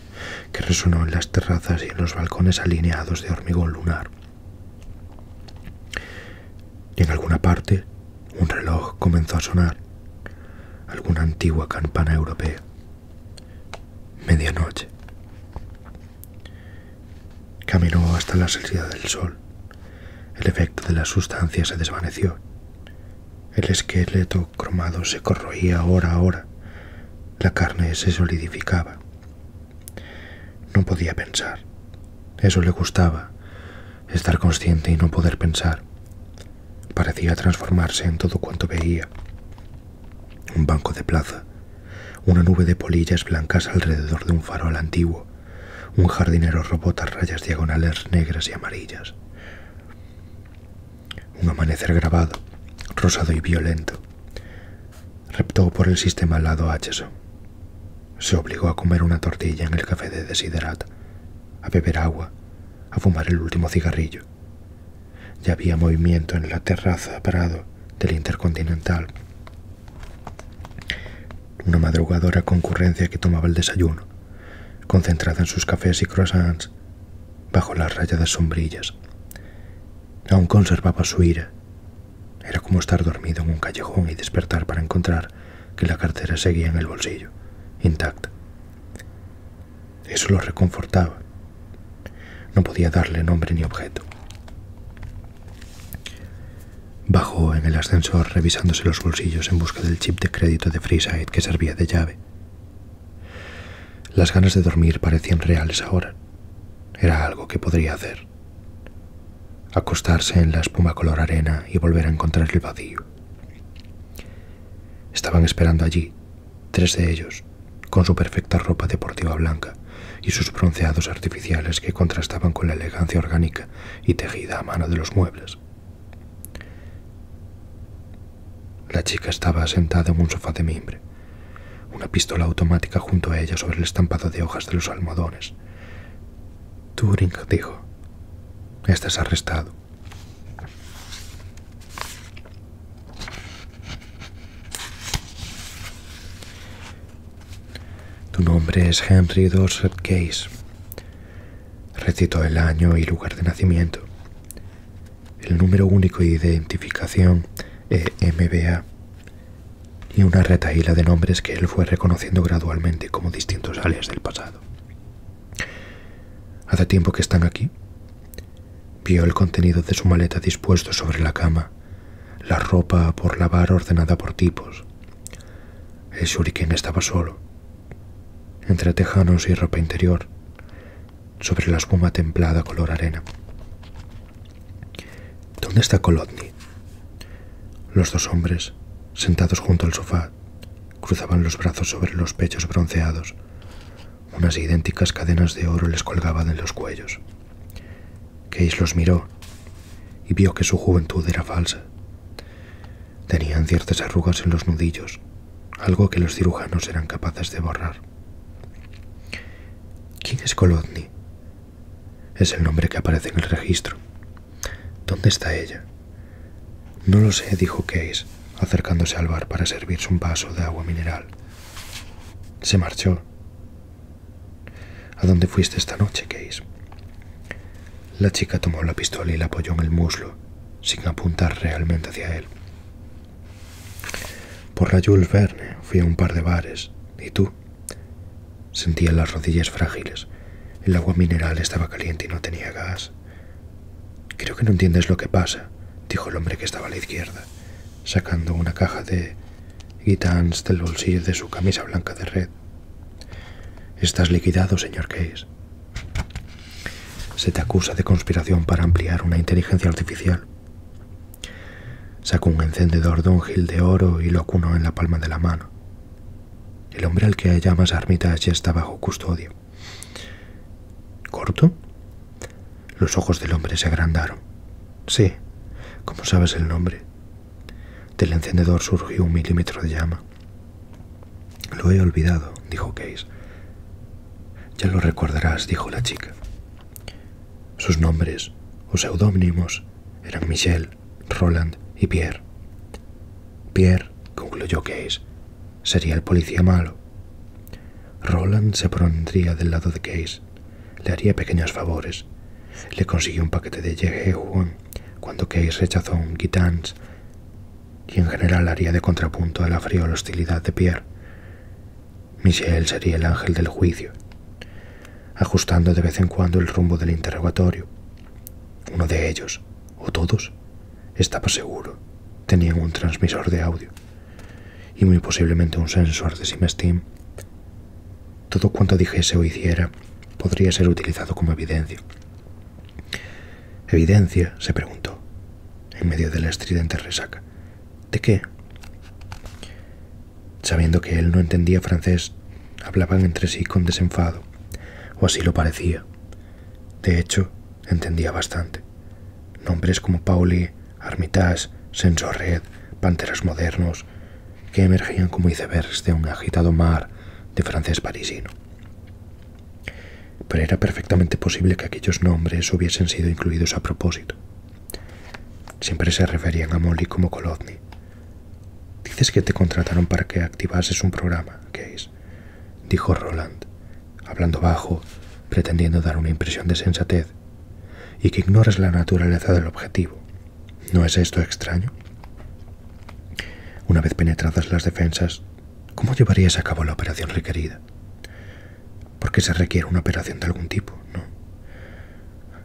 que resonó en las terrazas y en los balcones alineados de hormigón lunar. Y en alguna parte un reloj comenzó a sonar, alguna antigua campana europea. Medianoche. Caminó hasta la salida del sol. El efecto de la sustancia se desvaneció. El esqueleto cromado se corroía hora a hora. La carne se solidificaba. No podía pensar. Eso le gustaba, estar consciente y no poder pensar. Parecía transformarse en todo cuanto veía. Un banco de plaza, una nube de polillas blancas alrededor de un farol antiguo, un jardinero robot a rayas diagonales negras y amarillas. Un amanecer grabado, rosado y violento, Reptó por el sistema al lado H. Se obligó a comer una tortilla en el café de Desiderat, a beber agua, a fumar el último cigarrillo. Ya había movimiento en la terraza parado del Intercontinental. Una madrugadora concurrencia que tomaba el desayuno, concentrada en sus cafés y croissants, bajo las rayadas sombrillas, Aún conservaba su ira. Era como estar dormido en un callejón y despertar para encontrar que la cartera seguía en el bolsillo, intacta. Eso lo reconfortaba. No podía darle nombre ni objeto. Bajó en el ascensor revisándose los bolsillos en busca del chip de crédito de Freeside que servía de llave. Las ganas de dormir parecían reales ahora, era algo que podría hacer. Acostarse en la espuma color arena y volver a encontrar el vacío. Estaban esperando allí, tres de ellos, con su perfecta ropa deportiva blanca y sus bronceados artificiales que contrastaban con la elegancia orgánica y tejida a mano de los muebles. La chica estaba sentada en un sofá de mimbre una pistola automática junto a ella sobre el estampado de hojas de los almohadones. Turing dijo, estás arrestado. Tu nombre es Henry Dorset Case. Recitó el año y lugar de nacimiento. El número único de identificación e MBA." y una retaíla de nombres que él fue reconociendo gradualmente como distintos alias del pasado. Hace tiempo que están aquí. Vio el contenido de su maleta dispuesto sobre la cama, la ropa por lavar ordenada por tipos. El shuriken estaba solo, entre tejanos y ropa interior, sobre la espuma templada color arena. ¿Dónde está Kolodny? Los dos hombres, sentados junto al sofá, cruzaban los brazos sobre los pechos bronceados. Unas idénticas cadenas de oro les colgaban en los cuellos. Case los miró y vio que su juventud era falsa. Tenían ciertas arrugas en los nudillos, algo que los cirujanos eran capaces de borrar. ¿Quién es Kolodny? Es el nombre que aparece en el registro. ¿Dónde está ella? No lo sé, dijo Case, acercándose al bar para servirse un vaso de agua mineral. Se marchó. ¿A dónde fuiste esta noche, Case? La chica tomó la pistola y la apoyó en el muslo, sin apuntar realmente hacia él. Por la Verne fui a un par de bares. ¿Y tú? Sentía las rodillas frágiles. El agua mineral estaba caliente y no tenía gas. Creo que no entiendes lo que pasa, dijo el hombre que estaba a la izquierda, sacando una caja de guitans del bolsillo de su camisa blanca de red. Estás liquidado, señor Case. Se te acusa de conspiración para ampliar una inteligencia artificial. Sacó un encendedor de un gil de oro y lo cunó en la palma de la mano. El hombre al que armitas ya está bajo custodia. ¿Corto? Los ojos del hombre se agrandaron. Sí, ¿Cómo sabes el nombre. Del encendedor surgió un milímetro de llama. Lo he olvidado, dijo Case. Ya lo recordarás, dijo la chica. Sus nombres o seudónimos eran Michel, Roland y Pierre. Pierre concluyó que Case sería el policía malo. Roland se pondría del lado de Case, le haría pequeños favores, le consiguió un paquete de Yejehuan cuando Case rechazó un Guitans y en general haría de contrapunto a la fría hostilidad de Pierre. Michel sería el ángel del juicio, ajustando de vez en cuando el rumbo del interrogatorio. Uno de ellos, o todos, estaba seguro, tenían un transmisor de audio y muy posiblemente un sensor de steam Todo cuanto dijese o hiciera podría ser utilizado como evidencia. ¿Evidencia? se preguntó, en medio de la estridente resaca. ¿De qué? Sabiendo que él no entendía francés, hablaban entre sí con desenfado, o así lo parecía. De hecho, entendía bastante. Nombres como Pauli, Armitage, Sensorred, Panteras Modernos, que emergían como icebergs de un agitado mar de francés parisino. Pero era perfectamente posible que aquellos nombres hubiesen sido incluidos a propósito. Siempre se referían a Molly como Kolodny. Dices que te contrataron para que activases un programa, es? dijo Roland, hablando bajo, pretendiendo dar una impresión de sensatez, y que ignores la naturaleza del objetivo. ¿No es esto extraño? Una vez penetradas las defensas, ¿cómo llevarías a cabo la operación requerida? Porque se requiere una operación de algún tipo, ¿no?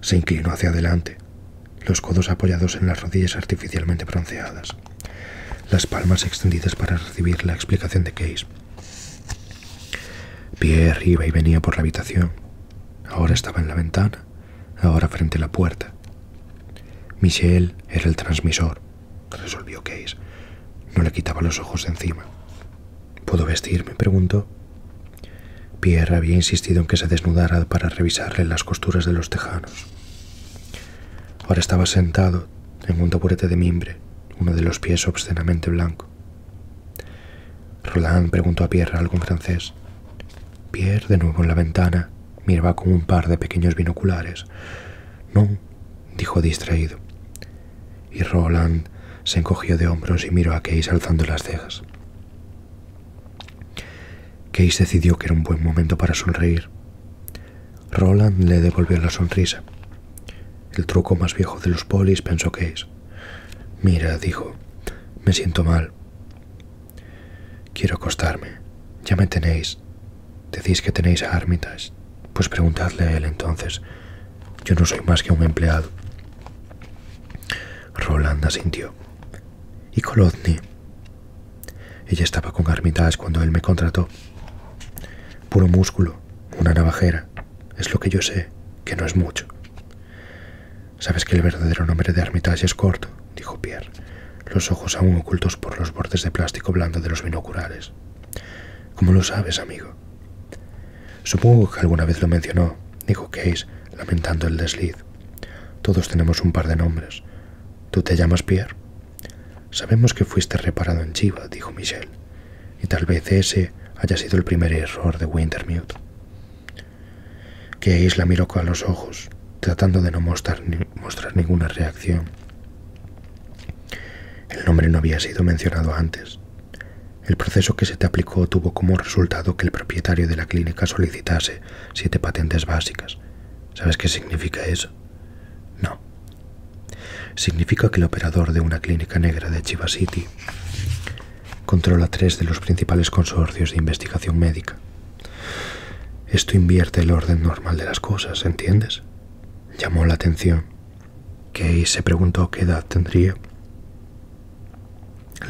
Se inclinó hacia adelante, los codos apoyados en las rodillas artificialmente bronceadas, las palmas extendidas para recibir la explicación de Case. Pierre iba y venía por la habitación. Ahora estaba en la ventana, ahora frente a la puerta. Michel era el transmisor, resolvió Case. No le quitaba los ojos de encima. ¿Puedo vestirme? preguntó. Pierre había insistido en que se desnudara para revisarle las costuras de los tejanos. Ahora estaba sentado en un taburete de mimbre, uno de los pies obscenamente blanco. Roland preguntó a Pierre algo en francés. Pierre, de nuevo en la ventana, miraba con un par de pequeños binoculares. No, dijo distraído. Y Roland se encogió de hombros y miró a Key alzando las cejas. Case decidió que era un buen momento para sonreír. Roland le devolvió la sonrisa. El truco más viejo de los polis, pensó Case. Mira, dijo, me siento mal. Quiero acostarme. Ya me tenéis. Decís que tenéis a Armitage. Pues preguntadle a él entonces. Yo no soy más que un empleado. Roland sintió. ¿Y Kolodny? Ella estaba con Armitage cuando él me contrató. Puro músculo, una navajera. Es lo que yo sé, que no es mucho. Sabes que el verdadero nombre de Armitage es corto, dijo Pierre, los ojos aún ocultos por los bordes de plástico blando de los binoculares. ¿Cómo lo sabes, amigo? Supongo que alguna vez lo mencionó, dijo Case, lamentando el desliz. Todos tenemos un par de nombres. ¿Tú te llamas Pierre? Sabemos que fuiste reparado en Chiva, dijo Michel, y tal vez ese haya sido el primer error de Wintermute. Case la miró con los ojos, tratando de no mostrar, mostrar ninguna reacción. El nombre no había sido mencionado antes. El proceso que se te aplicó tuvo como resultado que el propietario de la clínica solicitase siete patentes básicas. ¿Sabes qué significa eso? No. Significa que el operador de una clínica negra de Chiva City controla tres de los principales consorcios de investigación médica. Esto invierte el orden normal de las cosas, ¿entiendes? Llamó la atención. ¿Key se preguntó qué edad tendría.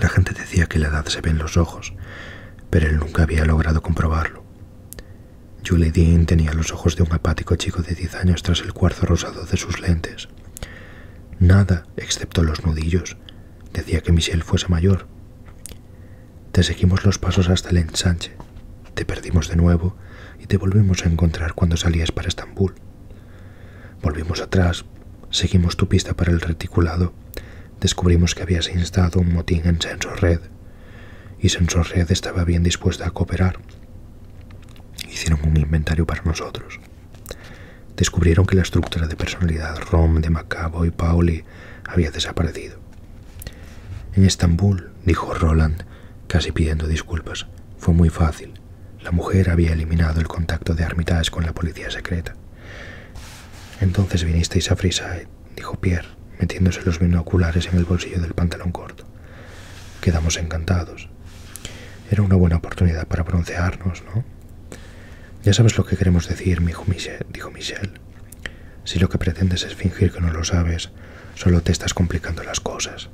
La gente decía que la edad se ve en los ojos, pero él nunca había logrado comprobarlo. Julie Dean tenía los ojos de un apático chico de diez años tras el cuarzo rosado de sus lentes. Nada, excepto los nudillos. Decía que Michel fuese mayor. Te seguimos los pasos hasta el ensanche. Te perdimos de nuevo y te volvimos a encontrar cuando salías para Estambul. Volvimos atrás, seguimos tu pista para el reticulado, descubrimos que habías instado un motín en Sensor Red, y Sensor Red estaba bien dispuesta a cooperar. Hicieron un inventario para nosotros. Descubrieron que la estructura de personalidad Rom de Macabo y Pauli había desaparecido. En Estambul, dijo Roland, casi pidiendo disculpas, fue muy fácil. La mujer había eliminado el contacto de Armitage con la policía secreta. Entonces vinisteis a Freeside, dijo Pierre, metiéndose los binoculares en el bolsillo del pantalón corto. Quedamos encantados. Era una buena oportunidad para broncearnos, ¿no? Ya sabes lo que queremos decir, mi dijo Michel. Si lo que pretendes es fingir que no lo sabes, solo te estás complicando las cosas.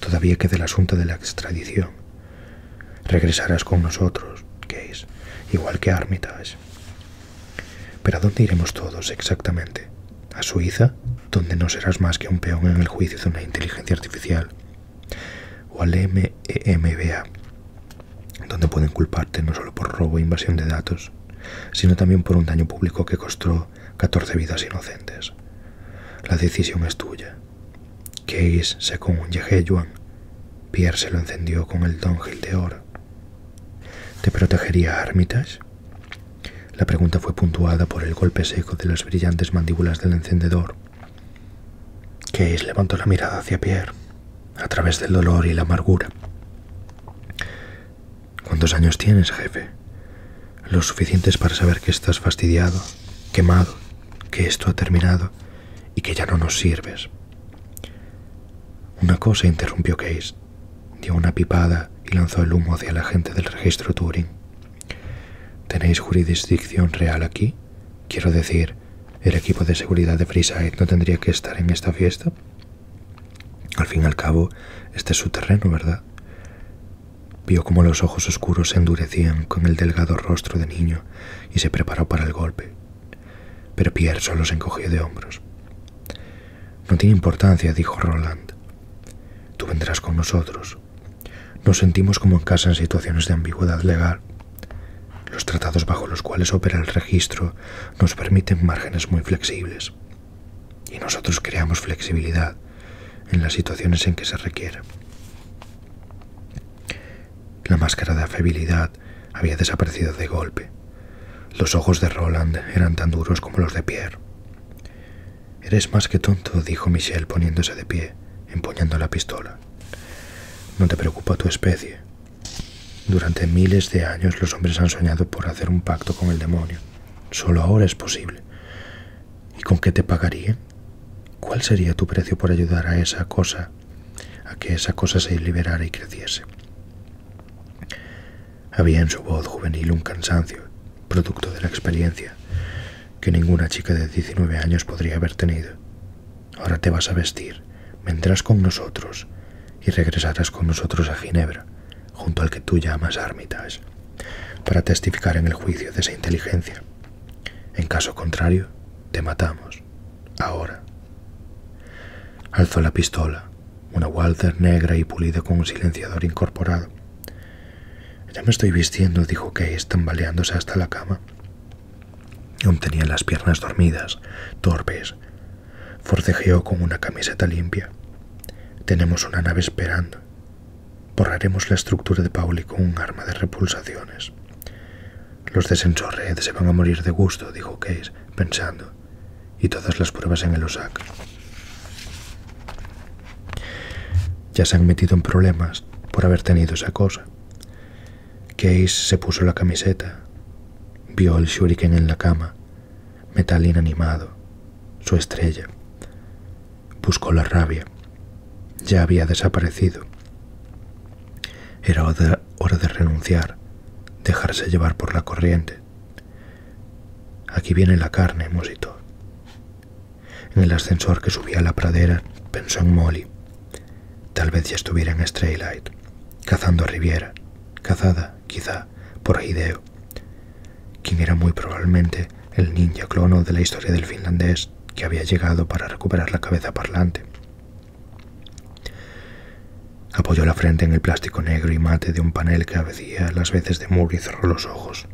Todavía queda el asunto de la extradición. Regresarás con nosotros, Case, igual que Armitage. ¿Pero a dónde iremos todos exactamente? ¿A Suiza, donde no serás más que un peón en el juicio de una inteligencia artificial? ¿O al MEMBA, donde pueden culparte no solo por robo e invasión de datos, sino también por un daño público que costó 14 vidas inocentes? La decisión es tuya. Case se un Juan Pierre se lo encendió con el dongil de oro. ¿Te protegería Armitage? La pregunta fue puntuada por el golpe seco de las brillantes mandíbulas del encendedor. Case levantó la mirada hacia Pierre, a través del dolor y la amargura. ¿Cuántos años tienes, jefe? Los suficientes para saber que estás fastidiado, quemado, que esto ha terminado y que ya no nos sirves. Una cosa interrumpió Case. Dio una pipada y lanzó el humo hacia la gente del registro Turing. ¿Tenéis jurisdicción real aquí? Quiero decir, ¿el equipo de seguridad de Freeside no tendría que estar en esta fiesta? Al fin y al cabo, este es su terreno, ¿verdad? Vio cómo los ojos oscuros se endurecían con el delgado rostro de niño y se preparó para el golpe. Pero Pierre solo se encogió de hombros. No tiene importancia, dijo Roland. Tú vendrás con nosotros. Nos sentimos como en casa en situaciones de ambigüedad legal. Los tratados bajo los cuales opera el registro nos permiten márgenes muy flexibles. Y nosotros creamos flexibilidad en las situaciones en que se requiere. La máscara de afabilidad había desaparecido de golpe. Los ojos de Roland eran tan duros como los de Pierre. Eres más que tonto, dijo Michel poniéndose de pie, empuñando la pistola. No te preocupa tu especie. Durante miles de años los hombres han soñado por hacer un pacto con el demonio. Solo ahora es posible. ¿Y con qué te pagarían? ¿Cuál sería tu precio por ayudar a esa cosa a que esa cosa se liberara y creciese. Había en su voz juvenil un cansancio, producto de la experiencia, que ninguna chica de 19 años podría haber tenido. Ahora te vas a vestir, vendrás con nosotros y regresarás con nosotros a Ginebra, junto al que tú llamas Armitage, para testificar en el juicio de esa inteligencia. En caso contrario, te matamos. Ahora. Alzó la pistola, una Walther negra y pulida con un silenciador incorporado. Ya me estoy vistiendo, dijo Kay, tambaleándose hasta la cama. Aún tenía las piernas dormidas, torpes. Forcejeó con una camiseta limpia. Tenemos una nave esperando. Borraremos la estructura de Pauli con un arma de repulsaciones. Los de se van a morir de gusto, dijo Case, pensando, y todas las pruebas en el OSAC. Ya se han metido en problemas por haber tenido esa cosa. Case se puso la camiseta, vio el shuriken en la cama, metal inanimado, su estrella. Buscó la rabia. Ya había desaparecido. Era hora de renunciar, dejarse llevar por la corriente. Aquí viene la carne, musito. En el ascensor que subía a la pradera, pensó en Molly. Tal vez ya estuviera en Straylight, cazando a Riviera, cazada, quizá, por Hideo, quien era muy probablemente el ninja clono de la historia del finlandés que había llegado para recuperar la cabeza parlante. Apoyó la frente en el plástico negro y mate de un panel que abecía las veces de muro y cerró los ojos.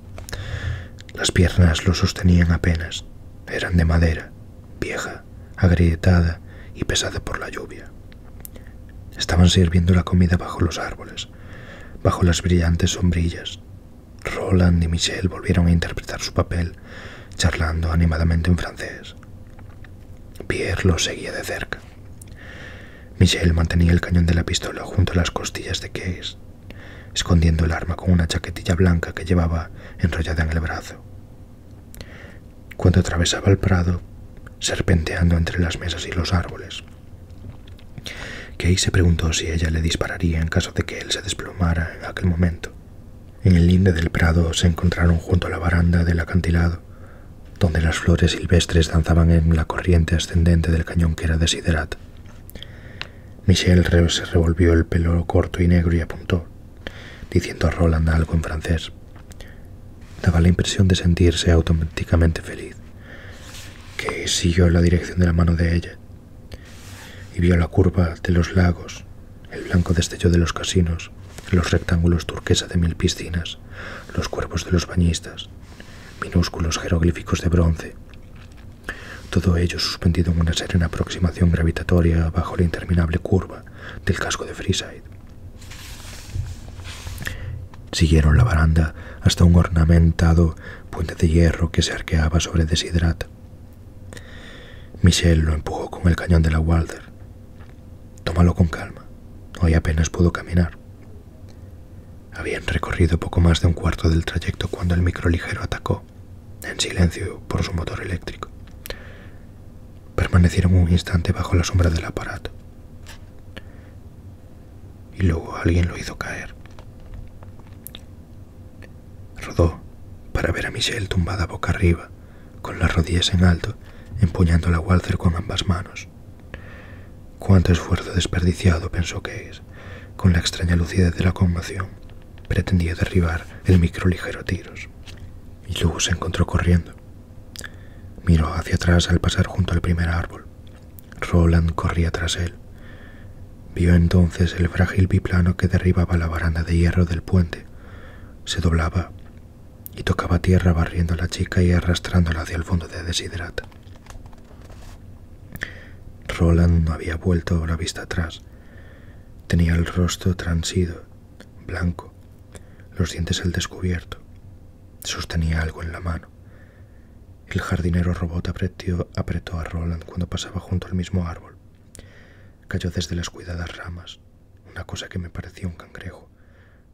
Las piernas lo sostenían apenas. Eran de madera, vieja, agrietada y pesada por la lluvia. Estaban sirviendo la comida bajo los árboles, bajo las brillantes sombrillas. Roland y Michel volvieron a interpretar su papel, charlando animadamente en francés. Pierre lo seguía de cerca. Michel mantenía el cañón de la pistola junto a las costillas de Case, escondiendo el arma con una chaquetilla blanca que llevaba enrollada en el brazo. Cuando atravesaba el prado, serpenteando entre las mesas y los árboles, Case se preguntó si ella le dispararía en caso de que él se desplomara en aquel momento. En el linde del prado se encontraron junto a la baranda del acantilado, donde las flores silvestres danzaban en la corriente ascendente del cañón que era Desiderat. Michel se revolvió el pelo corto y negro y apuntó, diciendo a Roland algo en francés. Daba la impresión de sentirse automáticamente feliz, que siguió la dirección de la mano de ella y vio la curva de los lagos el blanco destello de los casinos, los rectángulos turquesa de mil piscinas, los cuerpos de los bañistas, minúsculos jeroglíficos de bronce, todo ello suspendido en una serena aproximación gravitatoria bajo la interminable curva del casco de Freeside. Siguieron la baranda hasta un ornamentado puente de hierro que se arqueaba sobre Desidrat. Michelle lo empujó con el cañón de la Walder. Tómalo con calma. Hoy apenas pudo caminar. Habían recorrido poco más de un cuarto del trayecto cuando el microligero atacó, en silencio por su motor eléctrico. Permanecieron un instante bajo la sombra del aparato. Y luego alguien lo hizo caer. Rodó para ver a Michelle tumbada boca arriba, con las rodillas en alto, empuñando la Walzer con ambas manos. Cuánto esfuerzo desperdiciado, pensó es. con la extraña lucidez de la conmoción. Pretendía derribar el micro ligero tiros. Y luego se encontró corriendo. Miró hacia atrás al pasar junto al primer árbol. Roland corría tras él. Vio entonces el frágil biplano que derribaba la baranda de hierro del puente, se doblaba y tocaba tierra barriendo a la chica y arrastrándola hacia el fondo de Desiderata. Roland no había vuelto la vista atrás. Tenía el rostro transido, blanco, los dientes al descubierto. Sostenía algo en la mano. El jardinero robot apretió, apretó a Roland cuando pasaba junto al mismo árbol. Cayó desde las cuidadas ramas una cosa que me parecía un cangrejo,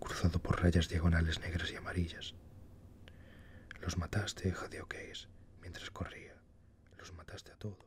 cruzado por rayas diagonales negras y amarillas. Los mataste, oqués, mientras corría. Los mataste a todos.